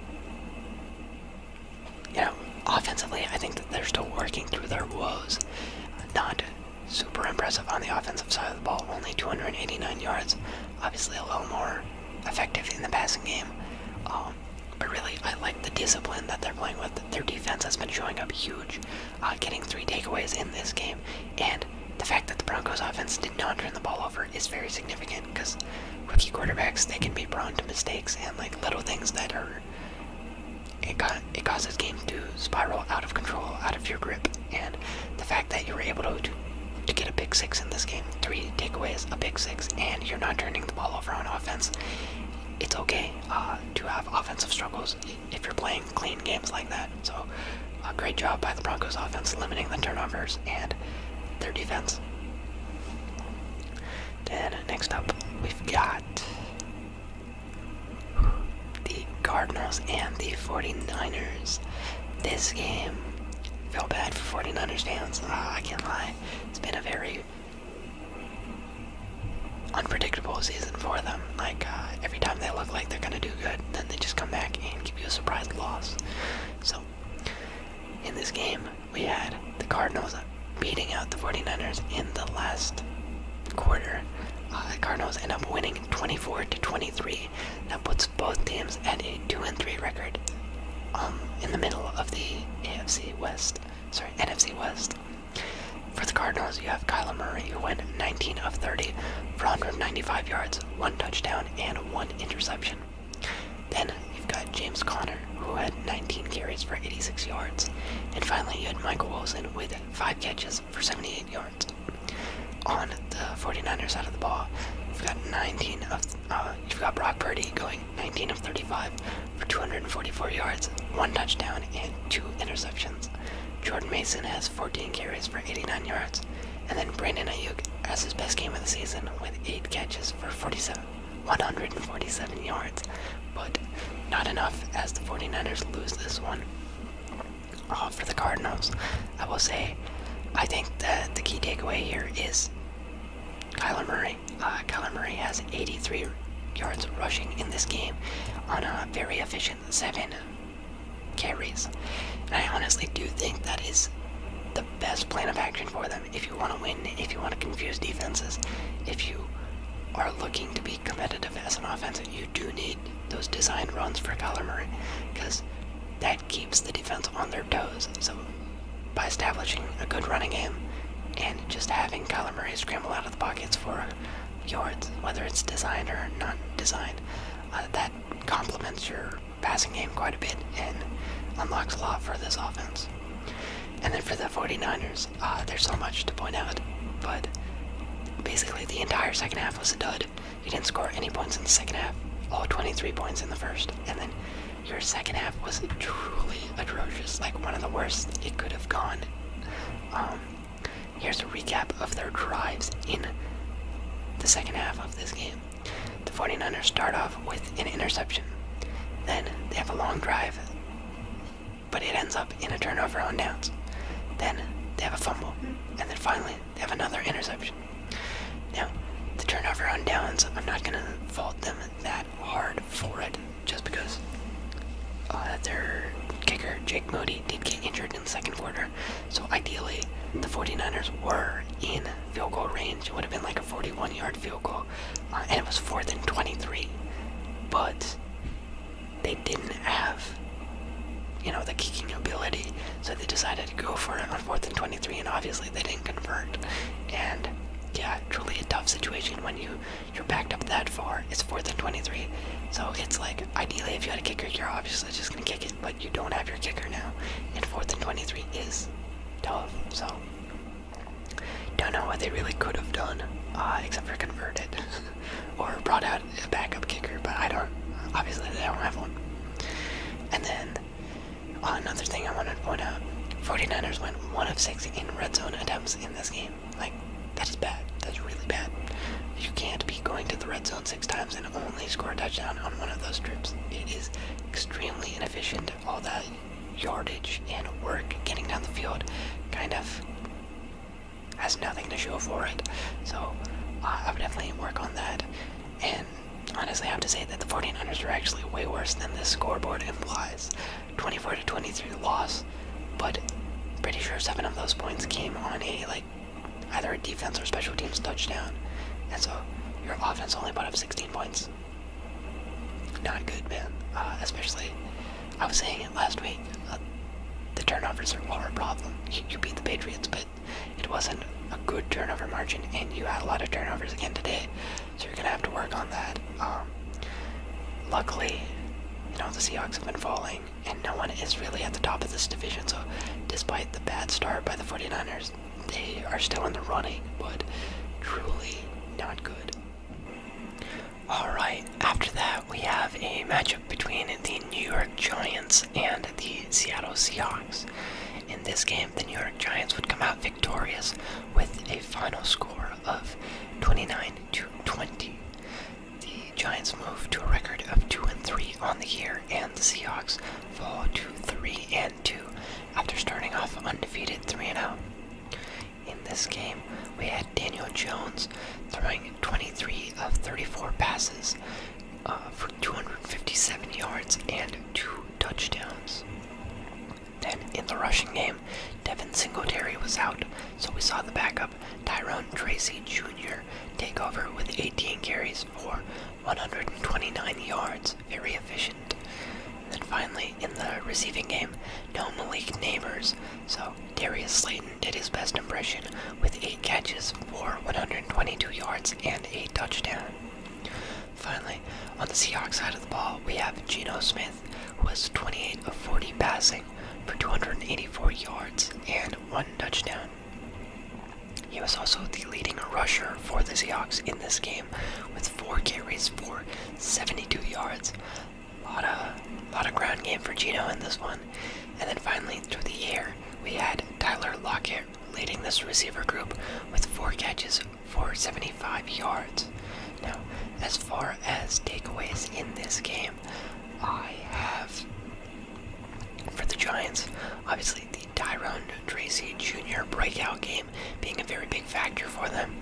you know offensively. I think that they're still working through their woes. Not super impressive on the offensive side of the ball. Only 289 yards. Obviously, a little more effective in the passing game. Um, but really, I like the discipline that they're playing with. Their defense has been showing up huge, uh, getting three takeaways in this game, and the fact that the Broncos' offense did not turn the ball over is very significant because rookie quarterbacks they can be prone to mistakes and like little things that are it, got, it causes game to spiral out of control, out of your grip, and the fact that you were able to to get a big six in this game Three takeaways, a big six, and you're not turning the ball over on offense. It's okay uh, to have offensive struggles if you're playing clean games like that. So, a great job by the Broncos offense limiting the turnovers and their defense. Then, next up, we've got the Cardinals and the 49ers. This game, feel bad for 49ers fans, uh, I can't lie it's been a very unpredictable season for them. Like uh, every time they look like they're gonna do good, then they just come back and give you a surprise loss. So in this game, we had the Cardinals beating out the 49ers in the last quarter. Uh, the Cardinals end up winning 24 to 23. That puts both teams at a 2 and 3 record um, in the middle of the AFC West. Sorry, NFC West. For the Cardinals, you have Kyler Murray, who went 19 of 30 for 195 yards, one touchdown, and one interception. Then you've got James Conner, who had 19 carries for 86 yards. And finally, you had Michael Wilson with 5 catches for 78 yards. On the 49ers side of the ball, you've got 19 of, uh, you've got Brock Purdy going 19 of 35 for 244 yards, one touchdown, and two interceptions. Jordan Mason has 14 carries for 89 yards, and then Brandon Ayuk has his best game of the season with 8 catches for 47, 147 yards, but not enough as the 49ers lose this one. All for the Cardinals, I will say, I think that the key takeaway here is Kyler Murray Murray. Uh, Murray has 83 yards rushing in this game on a very efficient seven carries. And I honestly do think that is the best plan of action for them if you want to win, if you want to confuse defenses, if you are looking to be competitive as an offense, you do need those designed runs for Kyler Murray because that keeps the defense on their toes. So by establishing a good running game and just having Kyler Murray scramble out of the pockets for yards, whether it's designed or not designed, uh, that complements your passing game quite a bit and unlocks a lot for this offense. And then for the 49ers, uh, there's so much to point out, but basically the entire second half was a dud. He didn't score any points in the second half, all 23 points in the first, and then your second half was truly atrocious, like one of the worst it could have gone. Um, here's a recap of their drives in the second half of this game. The 49ers start off with an interception. Then they have a long drive, but it ends up in a turnover on downs. Then they have a fumble. And then finally, they have another interception. Now, the turnover on downs, I'm not going to fault them that hard for it, just because uh, their kicker, Jake Moody, did get injured in the second quarter. So ideally, the 49ers were in field goal range. It would have been like a 41 yard field goal, uh, and it was 4th and 23. But they didn't have, you know, the kicking ability, so they decided to go for it on 4th and 23, and obviously they didn't convert. And yeah, truly a tough situation when you you're backed up that far. It's fourth and 23, so it's like ideally if you had a kicker, you're obviously just gonna kick it, but you don't have your kicker now, and fourth and 23 is tough. So don't know what they really could have done, uh, except for convert it or brought out a backup kicker, but I don't. Obviously, they don't have one. And then Oh, another thing I wanted to point out 49ers went 1 of 6 in red zone attempts in this game. Like, that is bad. That's really bad. You can't be going to the red zone six times and only score a touchdown on one of those trips. It is extremely inefficient. All that yardage and work getting down the field kind of has nothing to show for it. So I would definitely work on that. And honestly, I have to say that the 49ers are actually way worse than this scoreboard implies. 24 to 23 loss, but pretty sure seven of those points came on a like either a defense or special teams touchdown, and so your offense only put up 16 points. Not good, man. Uh, especially, I was saying it last week. Uh, the turnovers are, are a problem. you beat the Patriots, but it wasn't a good turnover margin, and you had a lot of turnovers again today. So you're gonna have to work on that. Um, luckily, you know the Seahawks have been falling, and no one is really at the top of this division. So despite the bad start by the 49ers, they are still in the running, but truly not good. Alright, after that, we have a matchup between the New York Giants and the Seattle Seahawks. In this game, the New York Giants would come out victorious with a final score of 29 to 20. The Giants move to a record of 2 and 3 on the year, and the Seahawks fall to 3 and 2 after starting off undefeated 3 and 0. In this game, we had Daniel Jones throwing 23 of 34 passes uh, for 257 yards and two touchdowns. Then, in the rushing game, Devin Singletary was out, so we saw the backup, Tyrone Tracy Jr., take over with 18 carries for 129 yards. Very efficient. Then finally, in the receiving game, no Malik Neighbors, so Darius Slayton did his best impression with 8 catches for 122 yards and a touchdown. Finally, on the Seahawks side of the ball, we have Geno Smith, who has 28 of 40 passing for 284 yards and one touchdown. He was also the leading rusher for the Seahawks in this game with four carries for 72 yards. A lot of, lot of ground game for Geno in this one. And then finally, through the air, we had Tyler Lockett leading this receiver group with four catches for 75 yards. Now, as far as takeaways in this game, I have for the Giants, obviously the Tyrone Tracy Jr. breakout game being a very big factor for them.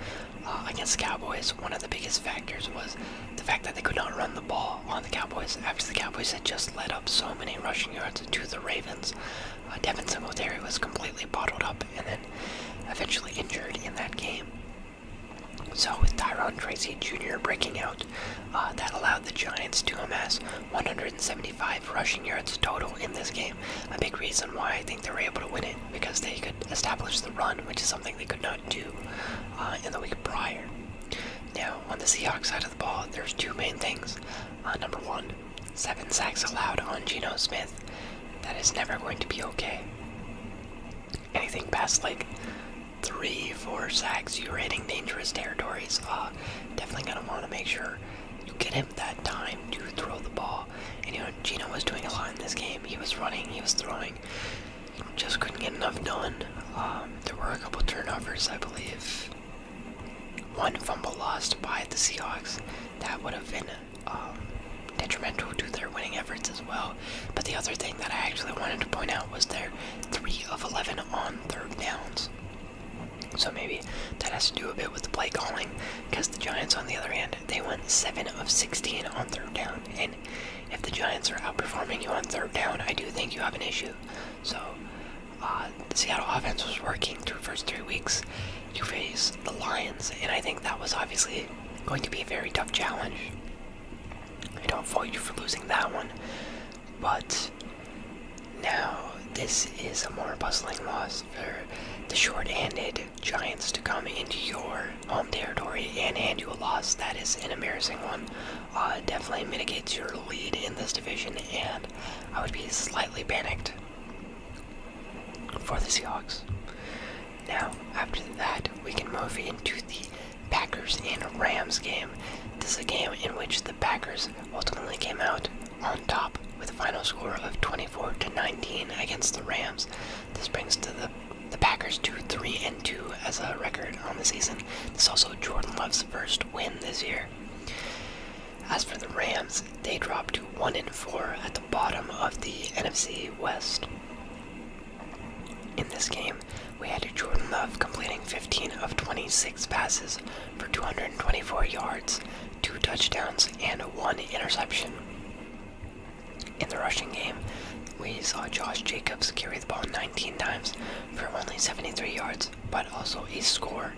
Uh, against the Cowboys, one of the biggest factors was the fact that they could not run the ball on the Cowboys after the Cowboys had just led up so many rushing yards to the Ravens. Uh, Devin Singletary was completely bottled up, and then eventually injured in that game. So, with Tyron Tracy Jr. breaking out, uh, that allowed the Giants to amass 175 rushing yards total in this game. A big reason why I think they were able to win it because they could establish the run, which is something they could not do uh, in the week prior. Now, on the Seahawks side of the ball, there's two main things. Uh, number one, seven sacks allowed on Geno Smith, that is never going to be okay. Anything past like three, four sacks, you're hitting dangerous territories. Uh, definitely gonna want to make sure you get him that time to throw the ball. And you know, Gino was doing a lot in this game. He was running, he was throwing, just couldn't get enough done. Um, there were a couple turnovers, I believe. One fumble lost by the Seahawks. That would have been um, detrimental to their winning efforts as well. But the other thing that I actually wanted to point out was their 3 of 11 on third downs. So maybe that has to do a bit with the play calling, because the Giants, on the other hand, they went 7 of 16 on third down. And if the Giants are outperforming you on third down, I do think you have an issue. So uh, the Seattle offense was working through first three weeks. You face the Lions, and I think that was obviously going to be a very tough challenge. I don't fault you for losing that one, but now this is a more puzzling loss for the short-handed Giants to come into your home territory and hand you a loss. That is an embarrassing one. Uh, definitely mitigates your lead in this division, and I would be slightly panicked for the Seahawks. Now, after that, we can move into the Packers and Rams game. This is a game in which the Packers ultimately came out on top with a final score of 24 to 19 against the Rams. This brings to the the Packers 2 3 and 2 as a record on the season. This is also Jordan Love's first win this year. As for the Rams, they dropped to 1 and 4 at the bottom of the NFC West. In this game, we had Jordan Love completing 15 of 26 passes for 224 yards, 2 touchdowns, and 1 interception. In the rushing game, we saw Josh Jacobs carry the ball 19 times for only 73 yards, but also a score.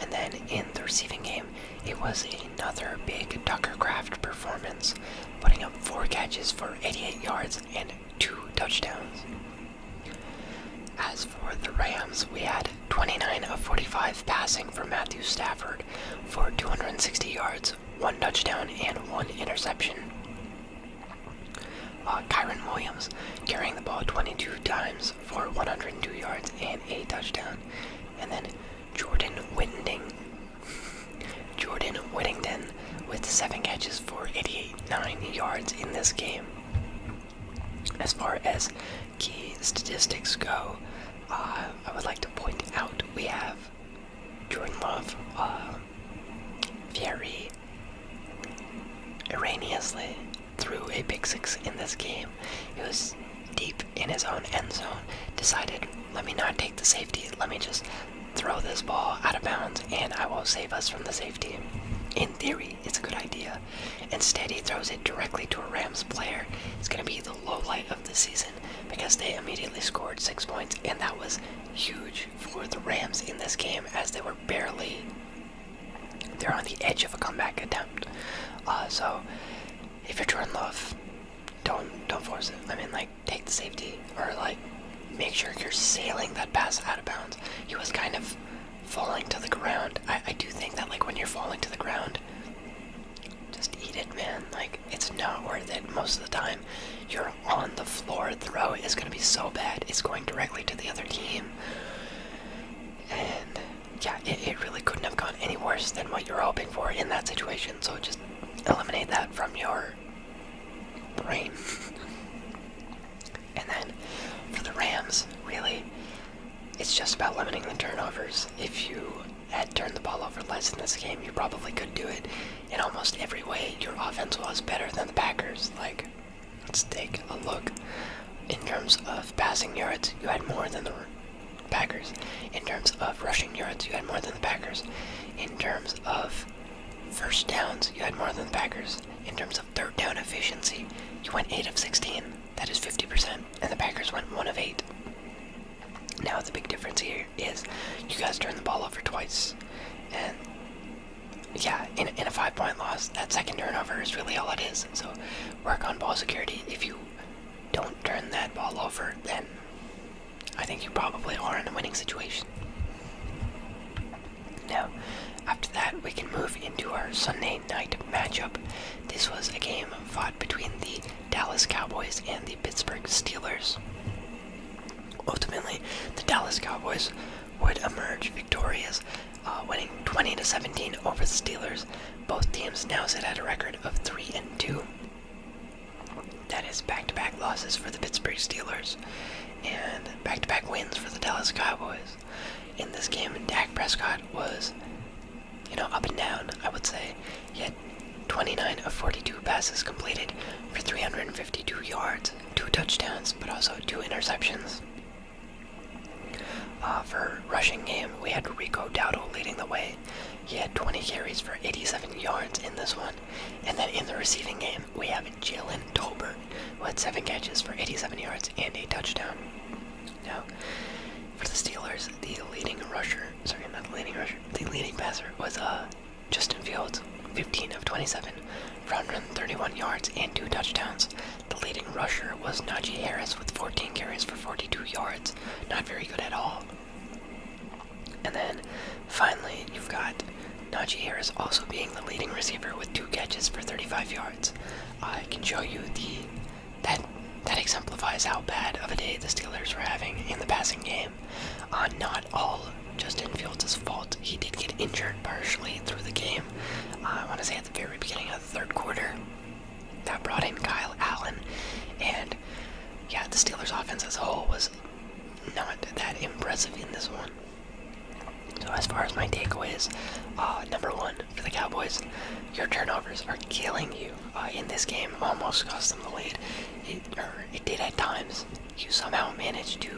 And then in the receiving game, it was another big Tucker Craft performance, putting up four catches for 88 yards and two touchdowns. As for the Rams, we had 29 of 45 passing for Matthew Stafford for 260 yards, one touchdown, and one interception. Uh, Kyron Williams carrying the ball 22 times for 102 yards and a touchdown. And then Jordan Winding Jordan Whittington with 7 catches for 88 nine yards in this game. As far as key statistics go, uh, I would like to point out we have Jordan Love, very uh, erroneously threw a pick six in this game. It was deep in his own end zone, decided, let me not take the safety, let me just throw this ball out of bounds, and I will save us from the safety. In theory, it's a good idea. Instead, he throws it directly to a Rams player. It's going to be the low light of the season because they immediately scored six points, and that was huge for the Rams in this game as they were barely. They're on the edge of a comeback attempt. Uh, so, if you're Jordan Love, don't don't force it. I mean, like take the safety or like make sure you're sailing that pass out of bounds. He was kind of falling to the ground. I I do think that like when you're falling to the ground, just eat it, man. Like it's not worth it most of the time. You're on the floor. Throw is gonna be so bad. It's going directly to the other team. And yeah, it, it really couldn't have gone any worse than what you're hoping for in that situation. So just eliminate that from your brain. and then for the Rams, really, it's just about limiting the turnovers. If you had turned the ball over less in this game, you probably could do it in almost every way. Your offense was better than the Packers. Like, let's take a look. In terms of passing yards, you had more than the Packers. In terms of rushing yards, you had more than the Packers. In terms of first downs, you had more than the Packers. In terms of third down efficiency, you went 8 of 16. That is 50%. And the Packers went 1 of 8. Now, the big difference here is you guys turned the ball over twice. And yeah, in, in a five point loss, that second turnover is really all it is. So work on ball security. If you don't turn that ball over, then I think you probably are in a winning situation. Now, after that, we can move into our Sunday night matchup. This was a game fought between the Dallas Cowboys and the Pittsburgh Steelers. Ultimately, the Dallas Cowboys would emerge victorious, uh, winning 20 to 17 over the Steelers. Both teams now sit at a record of 3 and 2. That is back-to-back losses for the Pittsburgh Steelers and back-to-back wins for the Dallas Cowboys. In this game, Dak Prescott was, you know, up and down, I would say. yet 29 of 42 passes completed for 352 yards, two touchdowns, but also two interceptions. Uh, for rushing game, we had Rico Dowdle leading the way he had 20 carries for 87 yards in this one. And then in the receiving game, we have Jalen Tolbert, who had 7 catches for 87 yards and a touchdown. Now, for the Steelers, the leading rusher, sorry, not the leading rusher, the leading passer was uh, Justin Fields, 15 of 27 for 131 yards and 2 touchdowns. The leading rusher was Najee Harris with 14 carries for 42 yards. Not very good at all. And then finally, you've got Najee Harris also being the leading receiver with two catches for 35 yards. I can show you the that that exemplifies how bad of a day the Steelers were having in the passing game. Uh, not all Justin Fields' fault. He did get injured partially through the game. Uh, I want to say at the very beginning of the third quarter, that brought in Kyle Allen, and yeah, the Steelers' offense as a whole was not that impressive in this one. So as far as my takeaways, uh, number one for the Cowboys, your turnovers are killing you. Uh, in this game, almost cost them the lead. It, it did at times. You somehow managed to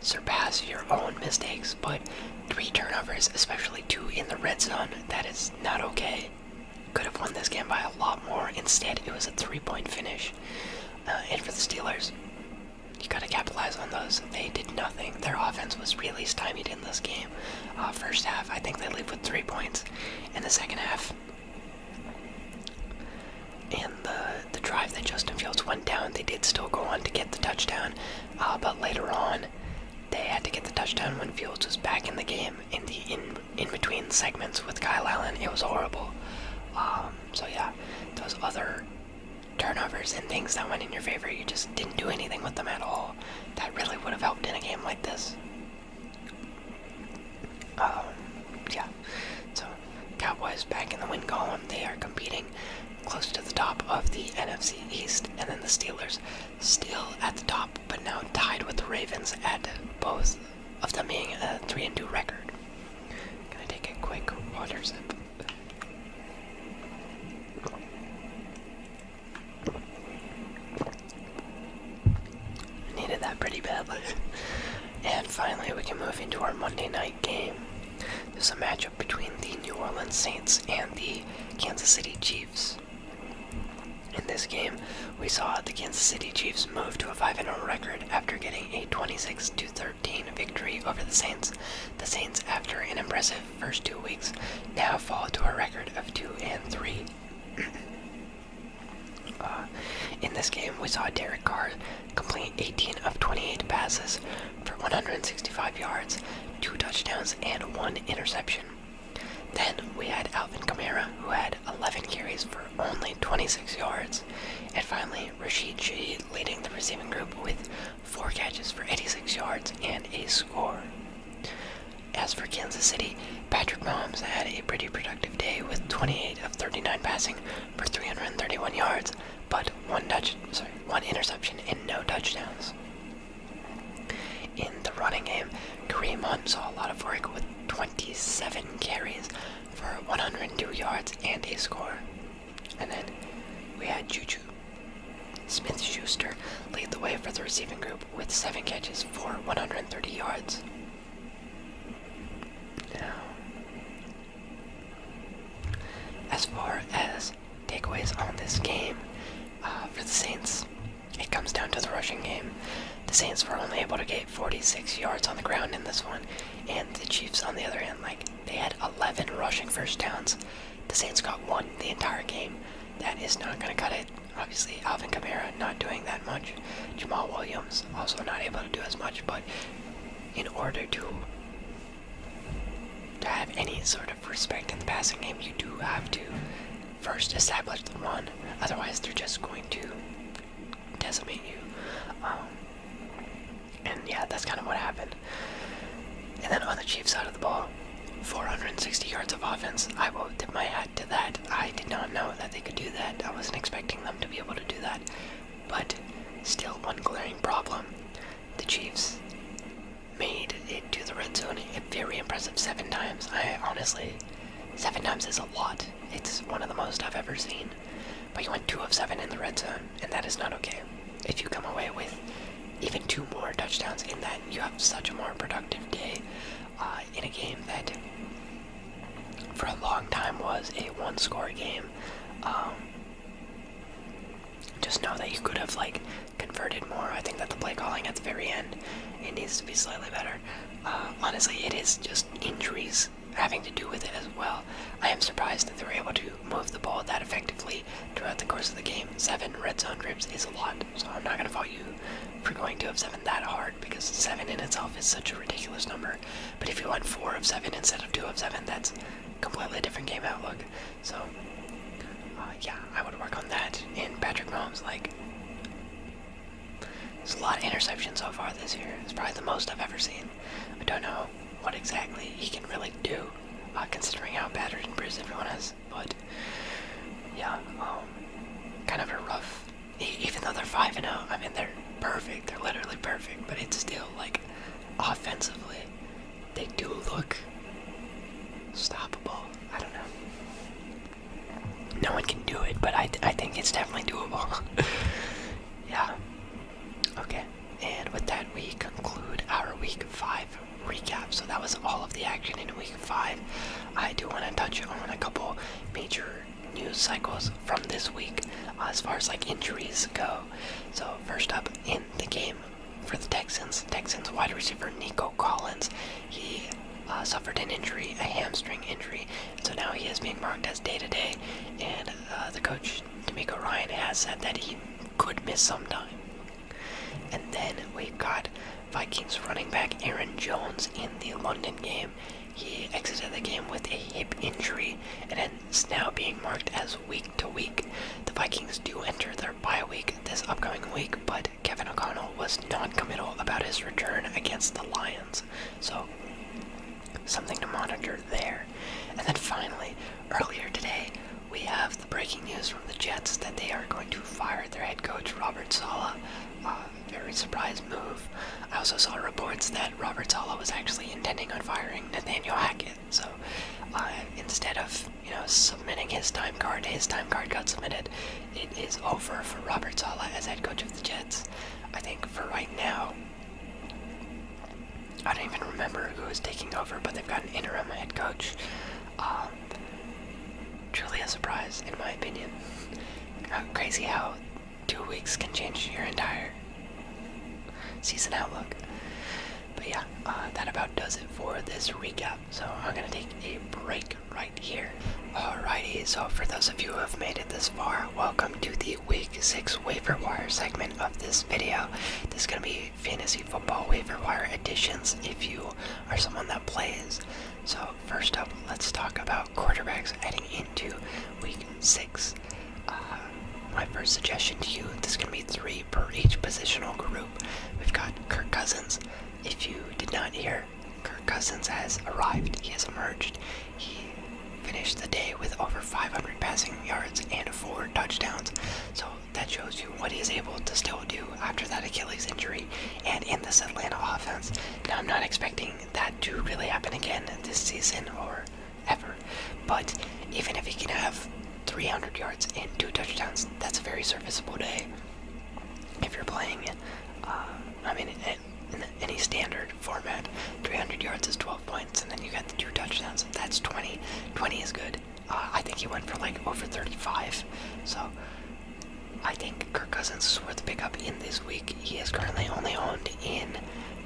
surpass your own mistakes, but three turnovers, especially two in the red zone, that is not okay could have won this game by a lot more. Instead, it was a three-point finish. Uh, and for the Steelers, you gotta capitalize on those. They did nothing. Their offense was really stymied in this game. Uh, first half, I think they leave with three points. In the second half, and the the drive that Justin Fields went down, they did still go on to get the touchdown. Uh, but later on, they had to get the touchdown when Fields was back in the game in the in in between segments with Kyle Allen. It was horrible. Um, so yeah, those other turnovers and things that went in your favor, you just didn't do anything with them at all. That really would have helped in a game like this. Um, yeah. So Cowboys back in the win column. They are competing close to the top of the NFC East, and then the Steelers still at the top, but now tied with the Ravens at both of them being a three and two record. Gonna take a quick water sip. Needed that pretty badly. and finally, we can move into our Monday night game. There's a matchup between the New Orleans Saints and the Kansas City Chiefs. In this game, we saw the Kansas City Chiefs move to a 5-0 record after getting a 26-13 victory over the Saints. The Saints, after an impressive first two weeks, now fall to a record of 2-3. Uh, in this game, we saw Derek Carr complete 18 of 28 passes for 165 yards, two touchdowns, and one interception. Then we had Alvin Kamara, who had 11 carries for only 26 yards. And finally, Rashid Shaheed leading the receiving group with 4 catches for 86 yards and a score. As for Kansas City, Patrick Mahomes had a pretty productive day with 28 of 39 passing for 331 yards, but one, touch, sorry, one interception and no touchdowns. In the running game, Kareem Hunt saw a lot of work with 20 27 carries for 102 yards and a score. And then we had Juju Smith Schuster lead the way for the receiving group with 7 catches for 130 yards. Now, as far as takeaways on this game uh, for the Saints, it comes down to the rushing game. The Saints were only able to get 46 yards on the ground in this one, and the Chiefs, on the other hand, like they had 11 rushing first downs. The Saints got one the entire game. That is not going to cut it. Obviously, Alvin Kamara not doing that much. Jamal Williams also not able to do as much. But in order to to have any sort of respect in the passing game, you do have to first establish the run. Otherwise, they're just going to decimate you. Um, and yeah, that's kind of what happened. And then on the Chiefs side of the ball, 460 yards of offense. I will tip my hat to that. I did not know that they could do that. I wasn't expecting them to be able to do that. But still, one glaring problem. The Chiefs made it to the red zone very impressive seven times. I honestly Seven times is a lot. It's one of the most I've ever seen. But you went two of seven in the red zone, and that is not okay. If you come away with even two more touchdowns in that, you have such a more productive day uh, in a game that, for a long time, was a one-score game. Um, just know that you could have like converted more. I think that the play calling at the very end it needs to be slightly better. Uh, honestly, it is just injuries having to do with it as well. I am surprised that they were able to move the ball that effectively throughout the course of the game. Seven red zone trips is a lot, so I'm not going to fault you for going two of seven that hard because seven in itself is such a ridiculous number. But if you want four of seven instead of two of seven, that's completely different game outlook. So, uh, yeah, I would work on that. And Patrick Mahomes, like, there's a lot of interceptions so far this year. It's probably the most I've ever seen. I don't know what exactly he can really do, uh, considering how battered and bruised everyone is. But yeah, um, kind of a rough. Even though they're five and zero, oh, I mean they're perfect. They're literally perfect. But it's still like offensively, they do look stoppable. I don't know no one can do it, but I, I think it's definitely doable. yeah. Okay. And with that, we conclude our week five recap. So that was all of the action in week five. I do want to touch on a couple major news cycles from this week uh, as far as like injuries go. So first up in the game for the Texans, Texans wide receiver Nico Collins, he uh, suffered an injury, a hamstring injury. So now he is being marked as day to day, and uh, the coach, D'Amico Ryan, has said that he could miss some time. And then we've got Vikings running back Aaron Jones in the London game. He exited the game with a hip injury and is now being marked as week to week. The Vikings do enter their bye week this upcoming week, but Kevin O'Connell was non committal about his return against the Lions. So something to monitor there. And then finally, earlier today, we have the breaking news from the Jets that they are going to fire their head coach, Robert Sala. Uh, very surprise move. I also saw reports that Robert Sala was actually intending on firing Nathaniel Hackett. So, uh, instead of you know submitting his time card, his time card got submitted, it is over for Robert Sala as head coach of the Jets. I think for right now, I don't even remember who is taking over, but they've got an interim head coach. Um, truly a surprise, in my opinion. crazy how two weeks can change your entire season outlook. But yeah, uh, that about does it for this recap. So I'm gonna take a break right here. Alrighty, so for those of you who have made it this far, welcome to the Week 6 Waiver Wire segment of this video. This is going to be Fantasy Football Waiver Wire additions if you are someone that plays. So, first up, let's talk about quarterbacks heading into Week 6. Uh, my first suggestion to you, there's going to be three per each positional group. We've got Kirk Cousins. If you did not hear, Kirk Cousins has arrived. He has emerged. He finished the day with over 500 passing yards and four touchdowns. So that shows you what he's able to still do after that Achilles injury and in this Atlanta offense. Now, I'm not expecting that to really happen again this season or ever, but even if he can have 300 yards and two touchdowns, that's a very serviceable day. If you're playing, uh, I mean, in, any standard format. 300 yards is 12 points, and then you got the two touchdowns. That's 20. 20 is good. Uh, I think he went for like over 35. So I think Kirk Cousins is worth a pickup in this week. He is currently only owned in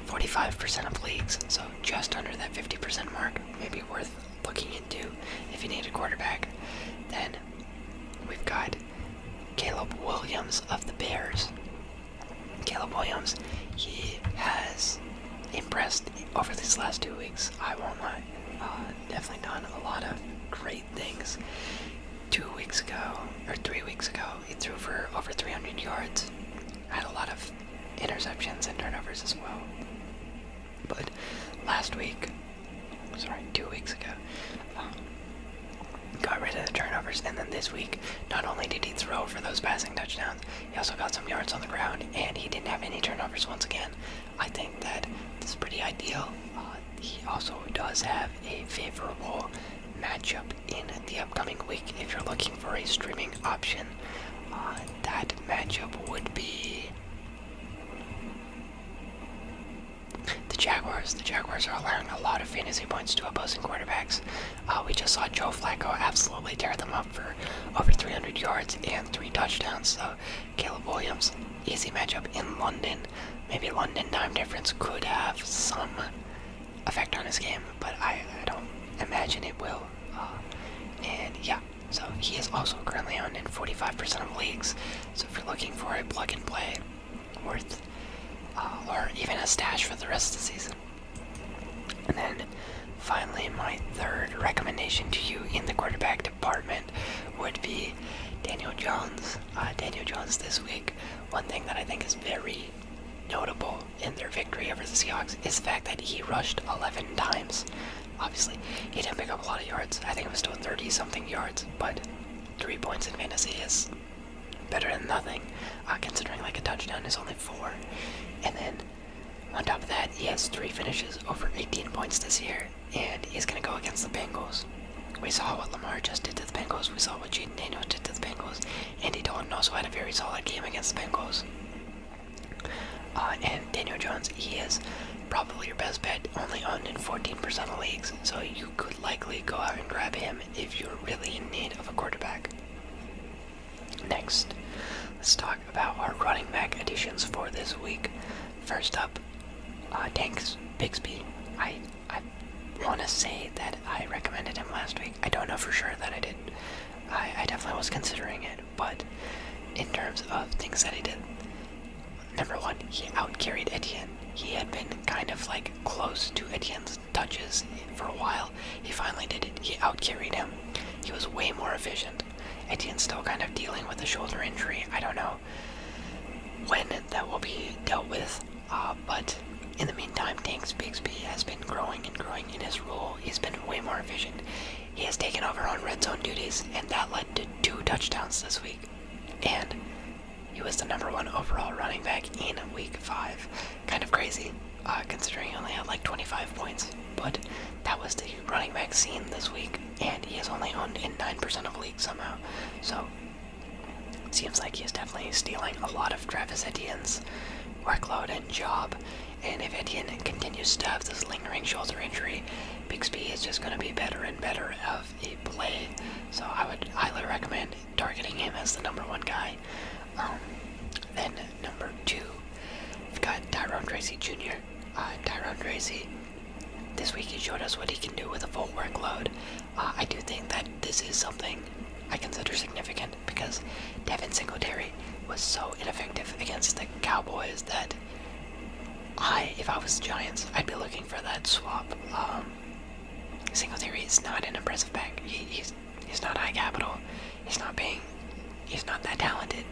45% of leagues, so just under that 50% mark. Maybe worth looking into if you need a quarterback. Then we've got Caleb Williams of the Bears. Caleb Williams, he has impressed over these last two weeks. I won't lie. Uh, definitely done a lot of great things. Two weeks ago, or three weeks ago, he threw for over 300 yards. Had a lot of interceptions and turnovers as well. But last week, sorry, two weeks ago, um, got rid of the turnovers, and then this week, not only did he throw for those passing touchdowns, he also got some yards on the ground, and he didn't have any turnovers once again. I think that this is pretty ideal. Uh, he also does have a favorable matchup in the upcoming week if you're looking for a streaming option. Uh, that matchup would be. The Jaguars. The Jaguars are allowing a lot of fantasy points to opposing quarterbacks. Uh, we just saw Joe Flacco absolutely tear them up for over 300 yards and three touchdowns. So Caleb Williams, easy matchup in London. Maybe London time difference could have some effect on his game, but I, don't imagine it will. Uh, and yeah, so he is also currently on in 45% of leagues. So if you're looking for a plug and play, worth, uh, or even a stash for the rest of the season. And then finally, my third recommendation to you in the quarterback department would be Daniel Jones. Uh, Daniel Jones this week. One thing that I think is very notable in their victory over the Seahawks is the fact that he rushed 11 times. Obviously, he didn't pick up a lot of yards. I think it was still 30 something yards, but three points in fantasy is better than nothing, uh, considering like a touchdown is only four. And then on top of that, he has three finishes over 18 points this year, and he's gonna go against the Bengals. We saw what Lamar just did to the Bengals. We saw what Jaden Daniels did to the Bengals. and Dalton also had a very solid game against the Bengals. Uh, and Daniel Jones, he is probably your best bet, only owned in 14% of leagues, so you could likely go out and grab him if you're really in need of a quarterback. Next, let's talk about our running back additions for this week. First up, uh, Tanks Bixby. I I want to say that I recommended him last week. I don't know for sure that I did. I, I definitely was considering it, but in terms of things that he did, number one, he outcarried Etienne. He had been kind of like close to Etienne's touches for a while. He finally did it. He outcarried him. He was way more efficient. Etienne's still kind of dealing with a shoulder injury. I don't know when that will be dealt with, uh, but in the meantime, Tanks Bixby has been growing and growing in his role. He's been way more efficient. He has taken over on red zone duties, and that led to two touchdowns this week. And he was the number one overall running back in week five. Kind of crazy, uh, considering he only had like 25 points, but that was the running back scene this week, and he is only owned in 9% of leagues somehow. So, it seems like he is definitely stealing a lot of Travis Etienne's workload and job. And if Etienne continues to have this lingering shoulder injury, Bixby is just going to be better and better of a play. So I would highly recommend targeting him as the number one guy. Um, then number two, we've got Tyrone Tracy Jr. Uh, Tyrone this week he showed us what he can do with a full workload. Uh, I do think that this is something I consider significant because Devin Singletary was so ineffective against the Cowboys that I, if I was Giants, I'd be looking for that swap. Um, Single Singletary is not an impressive back. he's he's not high capital. He's not being. He's not that talented.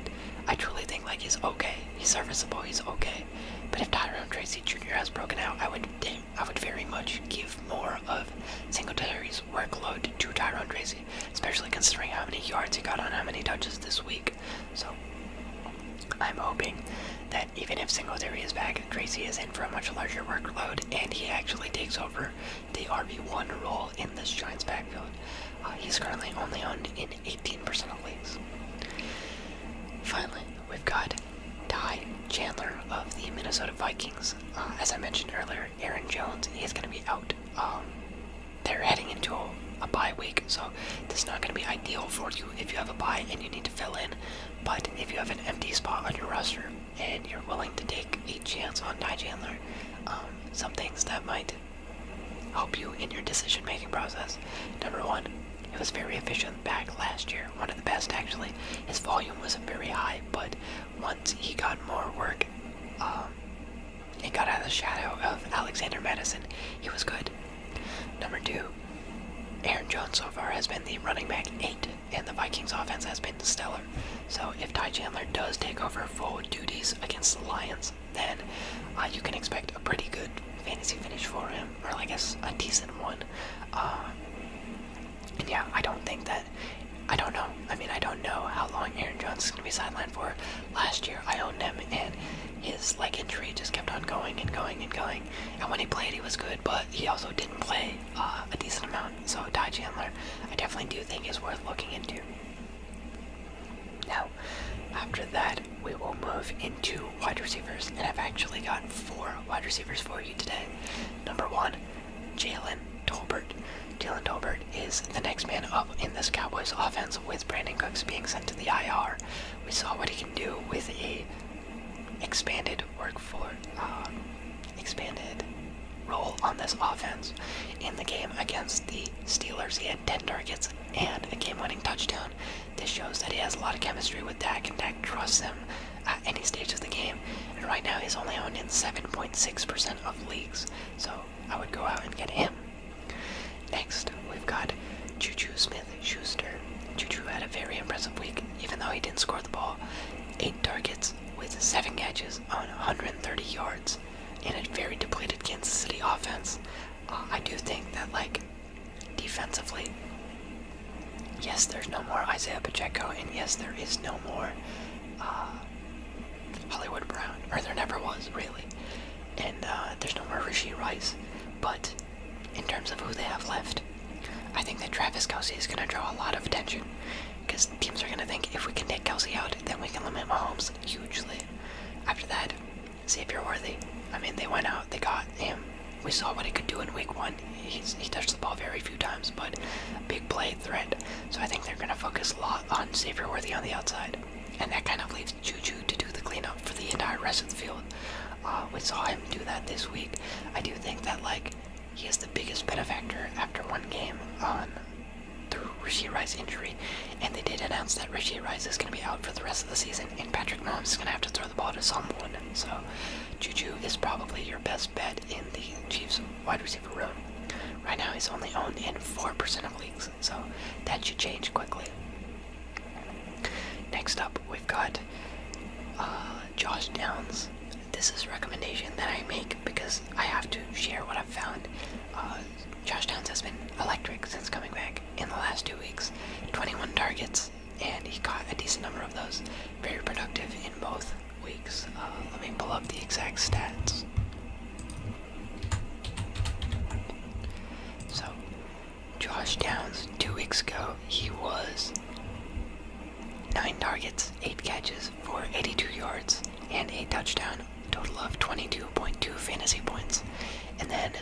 I truly think like he's okay. He's serviceable. He's okay. But if Tyrone Tracy Jr. has broken out, I would I would very much give more of Single Singletary's workload to Tyrone Tracy, especially considering how many yards he got on how many touches this week. So I'm hoping that even if Single Singletary is back, Dragon is in for a much larger workload, and he actually takes over the RB1 role in this Giants backfield. Uh, he's currently only on in 18% of leagues. Finally, we've got Ty Chandler of the Minnesota Vikings. Uh, as I mentioned earlier, Aaron Jones is going to be out. Um, they're heading into a, a bye week, so this is not going to be ideal for you if you have a bye and you need to fill in. But if you have an empty spot on your roster, and you're willing to take a chance on Ty Chandler, um, some things that might help you in your decision making process. Number one, it was very efficient back last year, one of the best actually. His volume wasn't very high, but once he got more work, he um, got out of the shadow of Alexander Madison, he was good. Number two, Aaron Jones so far has been the running back eight and the Vikings offense has been stellar. So if Ty Chandler does take over full duties against the Lions, then uh, you can expect a pretty good fantasy finish for him, or I guess a decent one. Uh, and yeah, I don't think that. I don't know. I mean, I don't know how long Aaron Jones is going to be sidelined for. Last year, I owned him, and his leg injury just kept on going and going and going. And when he played, he was good, but he also didn't play uh, a decent amount um, so Ty Chandler, I definitely do think is worth looking into. Now, after that, we will move into wide receivers, and I've actually got four wide receivers for you today. Number one, Jalen Tolbert. Jalen Tolbert is the next man up in this Cowboys offense with Brandon Cooks being sent to the IR. We saw what he can do with a expanded work force. Um, expanded role on this offense. In the game against the Steelers, he had 10 targets and a game winning touchdown. This shows that he has a lot of chemistry with Dak, and Dak trusts him at any stage of the game. And right now, he's only owned in 7.6% of leagues, so I would go out and get him. Next, we've got Juju Smith Schuster. Juju had a very impressive week, even though he didn't score the ball. 8 targets with 7 catches on 130 yards in a very depleted Kansas City offense. Uh, I do think that, like, defensively, yes, there's no more Isaiah Pacheco, and yes, there is no more uh, Hollywood Brown, or there never was, really. And uh, there's no more Rishi Rice, but in terms of who they have left, I think that Travis Kelsey is going to draw a lot of attention because teams are going to think if we can take Kelsey out, then we can limit Mahomes hugely. After that, see if you're worthy. I mean, they went out, they got him. We saw what he could do in week one. he touched the ball very few times, but big play threat. So I think they're going to focus a lot on Xavier Worthy on the outside. And that kind of leaves Juju to do the cleanup for the entire rest of the field. Uh, we saw him do that this week. I do think that, like, he is the biggest benefactor after one game on the Rishi Rice injury, and they did announce that Rishi Rice is going to be out for the rest of the season, and Patrick Mahomes is going to have to throw the ball to someone. So, Juju is probably your best bet in the Chiefs wide receiver room. Right now, he's only owned in 4% of leagues, so that should change quickly. Next up, we've got uh, Josh Downs this is a recommendation that I make because I have to share what I've found. Uh, Josh Downs has been electric since coming back in the last two weeks. 21 targets, and he caught a decent number of those. Very productive in both weeks. Uh, let me pull up the exact stats. So, Josh Downs, two weeks ago, he was 9 targets, 8 catches for 82 yards, and a touchdown, total of 22.2 fantasy points. And then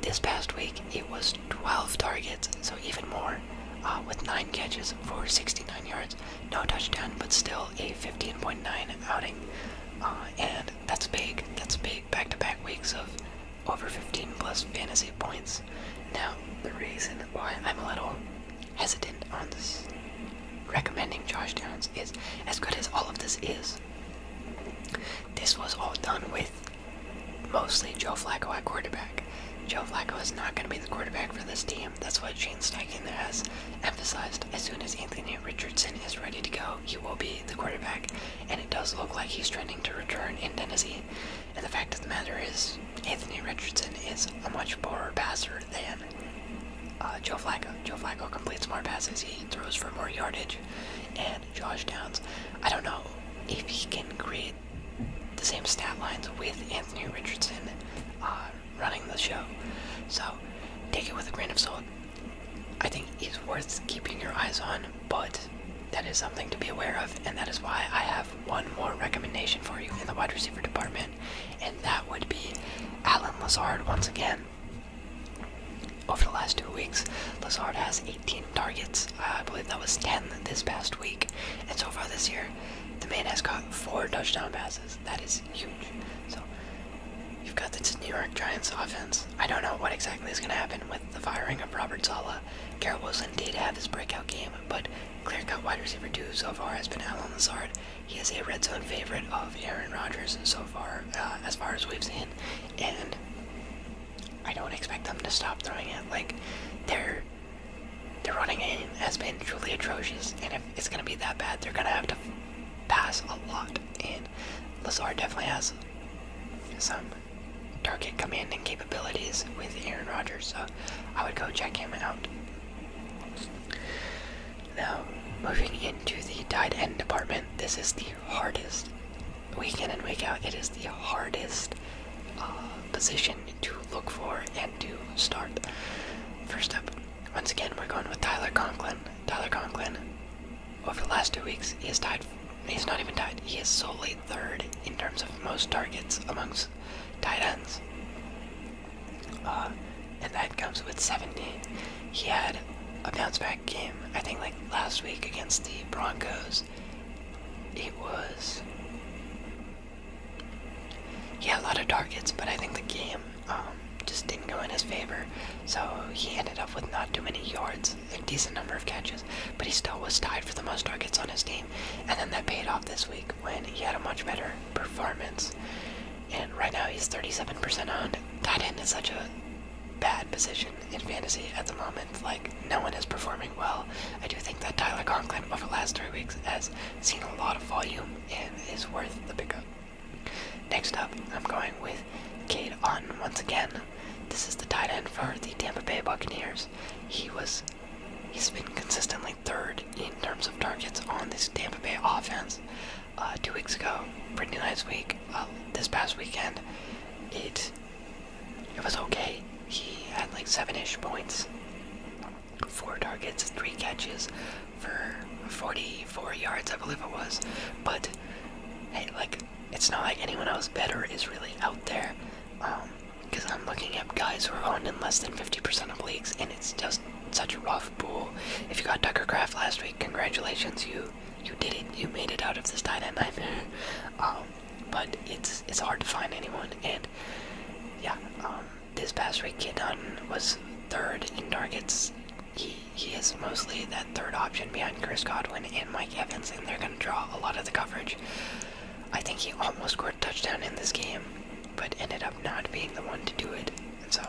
this past week, it was 12 targets, so even more, uh, with 9 catches for 69 yards, no touchdown, but still a 15.9 outing. Uh, and that's big, that's big, back to back weeks of over 15 plus fantasy points. Now, the reason why I'm a little hesitant on this recommending Josh Downs is as good as all of this is. This was all done with mostly Joe Flacco at quarterback. Joe Flacco is not going to be the quarterback for this team. That's what Gene Steichen has emphasized. As soon as Anthony Richardson is ready to go, he will be the quarterback, and it does look like he's trending to return in Tennessee. And the fact of the matter is, Anthony Richardson is a much poorer passer than uh, Joe Flacco. Joe Flacco completes more passes, he throws for more yardage, and Josh Downs. I don't know if he can create the same stat lines with Anthony Richardson uh, running the show. So take it with a grain of salt. I think he's worth keeping your eyes on, but that is something to be aware of, and that is why I have one more recommendation for you in the wide receiver department, and that would be Alan Lazard once again. Over the last two weeks, Lazard has 18 targets. I believe that was 10 this past week. And so far this year, the man has caught four touchdown passes. That is huge. So, you've got this New York Giants offense. I don't know what exactly is going to happen with the firing of Robert Sala. Garrett Wilson did have his breakout game, but Clear-cut wide receiver two so far has been Alan Lazard. He is a red zone favorite of Aaron Rodgers so far, uh, as far as we've seen, and I don't expect them to stop throwing it. Like their their running game has been truly atrocious, and if it's gonna be that bad, they're gonna have to pass a lot. And Lazard definitely has some target commanding capabilities with Aaron Rodgers, so I would go check him out. Now, moving into the tight end department, this is the hardest. Week in and week out, it is the hardest uh, position to look for and to start. First up, once again, we're going with Tyler Conklin. Tyler Conklin, over the last two weeks, he is tied. He's not even tied. He is solely third in terms of most targets amongst tight uh, ends. and that comes with 17. He had a bounce back game, I think, like last week against the Broncos. It was. He had a lot of targets, but I think the game um, just didn't go in his favor. So he ended up with not too many yards, a decent number of catches, but he still was tied for the most targets on his team. And then that paid off this week when he had a much better performance. And right now he's 37% on. Tight end is such a bad position in fantasy at the moment. Like, no one is performing well. I do think that Tyler Conklin over the last three weeks has seen a lot of volume and is worth the pickup. Next up, I'm going with Cade Otten once again. This is the tight end for the Tampa Bay Buccaneers. He was He's been consistently third in terms of targets on this Tampa Bay offense. Uh, two weeks ago, pretty nice week. Uh, this past weekend, it it was okay. He had like seven-ish points, four targets, three catches for 44 yards, I believe it was. But hey, like it's not like anyone else better is really out there. Um, because I'm looking at guys who are owned in less than 50% of leagues, and it's just such a rough pool. If you got Tucker Craft last week, congratulations, you you did it. You made it out of this tight end nightmare. Um, but it's it's hard to find anyone, and yeah, um, this past week Kidon was third in targets. He he is mostly that third option behind Chris Godwin and Mike Evans, and they're gonna draw a lot of the coverage. I think he almost scored a touchdown in this game but ended up not being the one to do it. And so,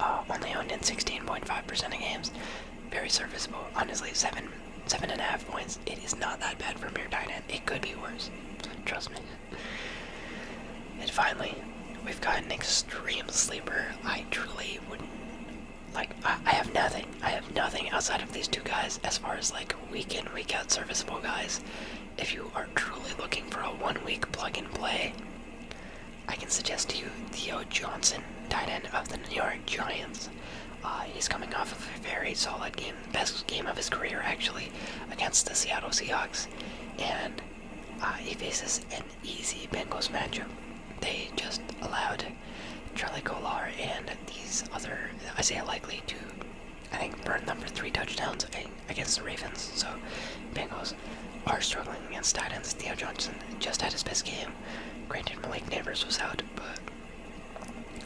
uh, only owned in 16.5% of games. Very serviceable. Honestly, seven, seven and a half points. It is not that bad for mere tight It could be worse. Trust me. And finally, we've got an extreme sleeper. I truly wouldn't like. I have nothing. I have nothing outside of these two guys as far as like week in, week out serviceable guys. If you are truly looking for a one week plug and play, I can suggest to you Theo Johnson, tight end of the New York Giants. Uh, he's coming off of a very solid game, best game of his career actually, against the Seattle Seahawks. And uh, he faces an easy Bengals matchup. They just allowed Charlie Kolar and these other i say Likely to I think burned them for three touchdowns against the Ravens. So Bengals are struggling against tight ends. Theo Johnson just had his best game. Granted, Malik Neighbors was out, but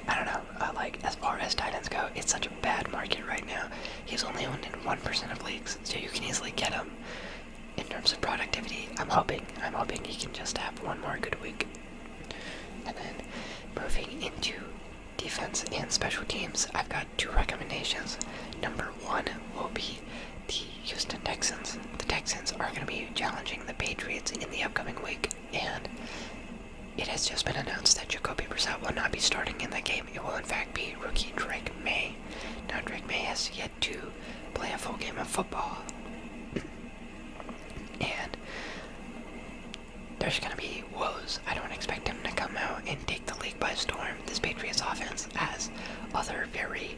I don't know. Uh, like as far as tight go, it's such a bad market right now. He's only owned in one percent of leagues, so you can easily get him. In terms of productivity, I'm hoping, I'm hoping he can just have one more good week. And then moving into defense and special teams, I've got two recommendations. Number one will be the Houston Texans. The Texans are going to be challenging the Patriots in the upcoming week, and it has just been announced that Jacoby Brissett will not be starting in that game. It will, in fact, be rookie Drake May. Now, Drake May has yet to play a full game of football, and there's going to be woes. I don't expect him to come out and take the league by storm, this Patriots offense has other very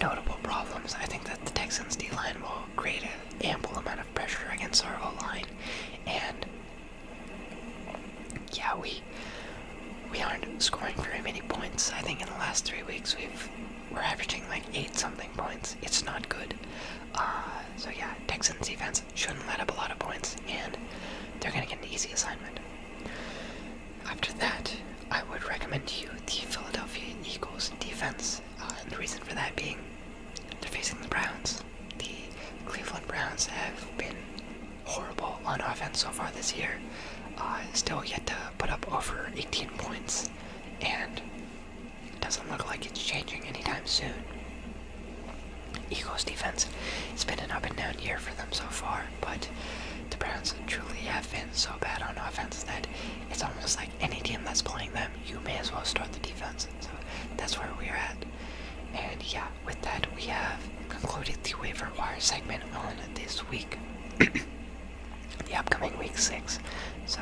notable problems. I think that the Texans' D line will create an ample amount of pressure against our O line, and yeah, we we aren't scoring very many points. I think in the last three weeks we've we're averaging like eight something points. It's not good. Uh, so yeah, Texans defense shouldn't let up a lot of points, and they're going to get an easy assignment. After that, I would recommend you the Philadelphia Eagles defense. Uh, and the reason for that being they're facing the Browns. The Cleveland Browns have been horrible on offense so far this year. Uh, still yet to put up over 18 points, and it doesn't look like it's changing anytime soon. Eagles defense. It's been an up and down year for them so far, but the Browns truly have been so bad on offense that it's almost like any team that's playing them, you may as well start the defense. So that's where we're at. And yeah, with that, we have concluded the waiver wire segment on this week, the upcoming week six. So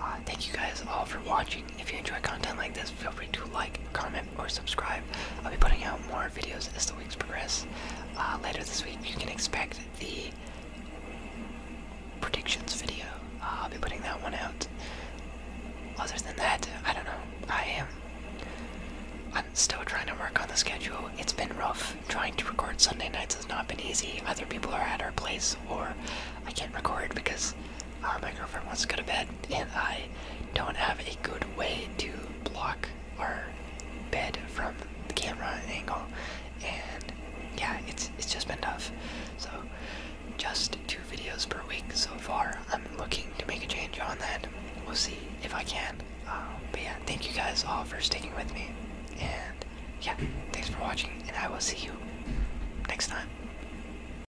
uh, thank you guys all for watching. If you enjoy content like this, feel free to like, comment subscribe or subscribe. I'll be putting out more videos as the weeks progress. Uh, later this week, you can expect the predictions video. Uh, I'll be putting that one out. Other than that, I don't know. I am. I'm still trying to work on the schedule. It's been rough. Trying to record Sunday nights has not been easy. Other people are at our place or I can't record because uh, my girlfriend wants to go to bed, and I don't have a good way to block our bed from the camera angle. And yeah, it's it's just been tough. So just two videos per week so far. I'm looking to make a change on that. We'll see if I can. Um, but yeah, thank you guys all for sticking with me. And yeah, thanks for watching, and I will see you next time.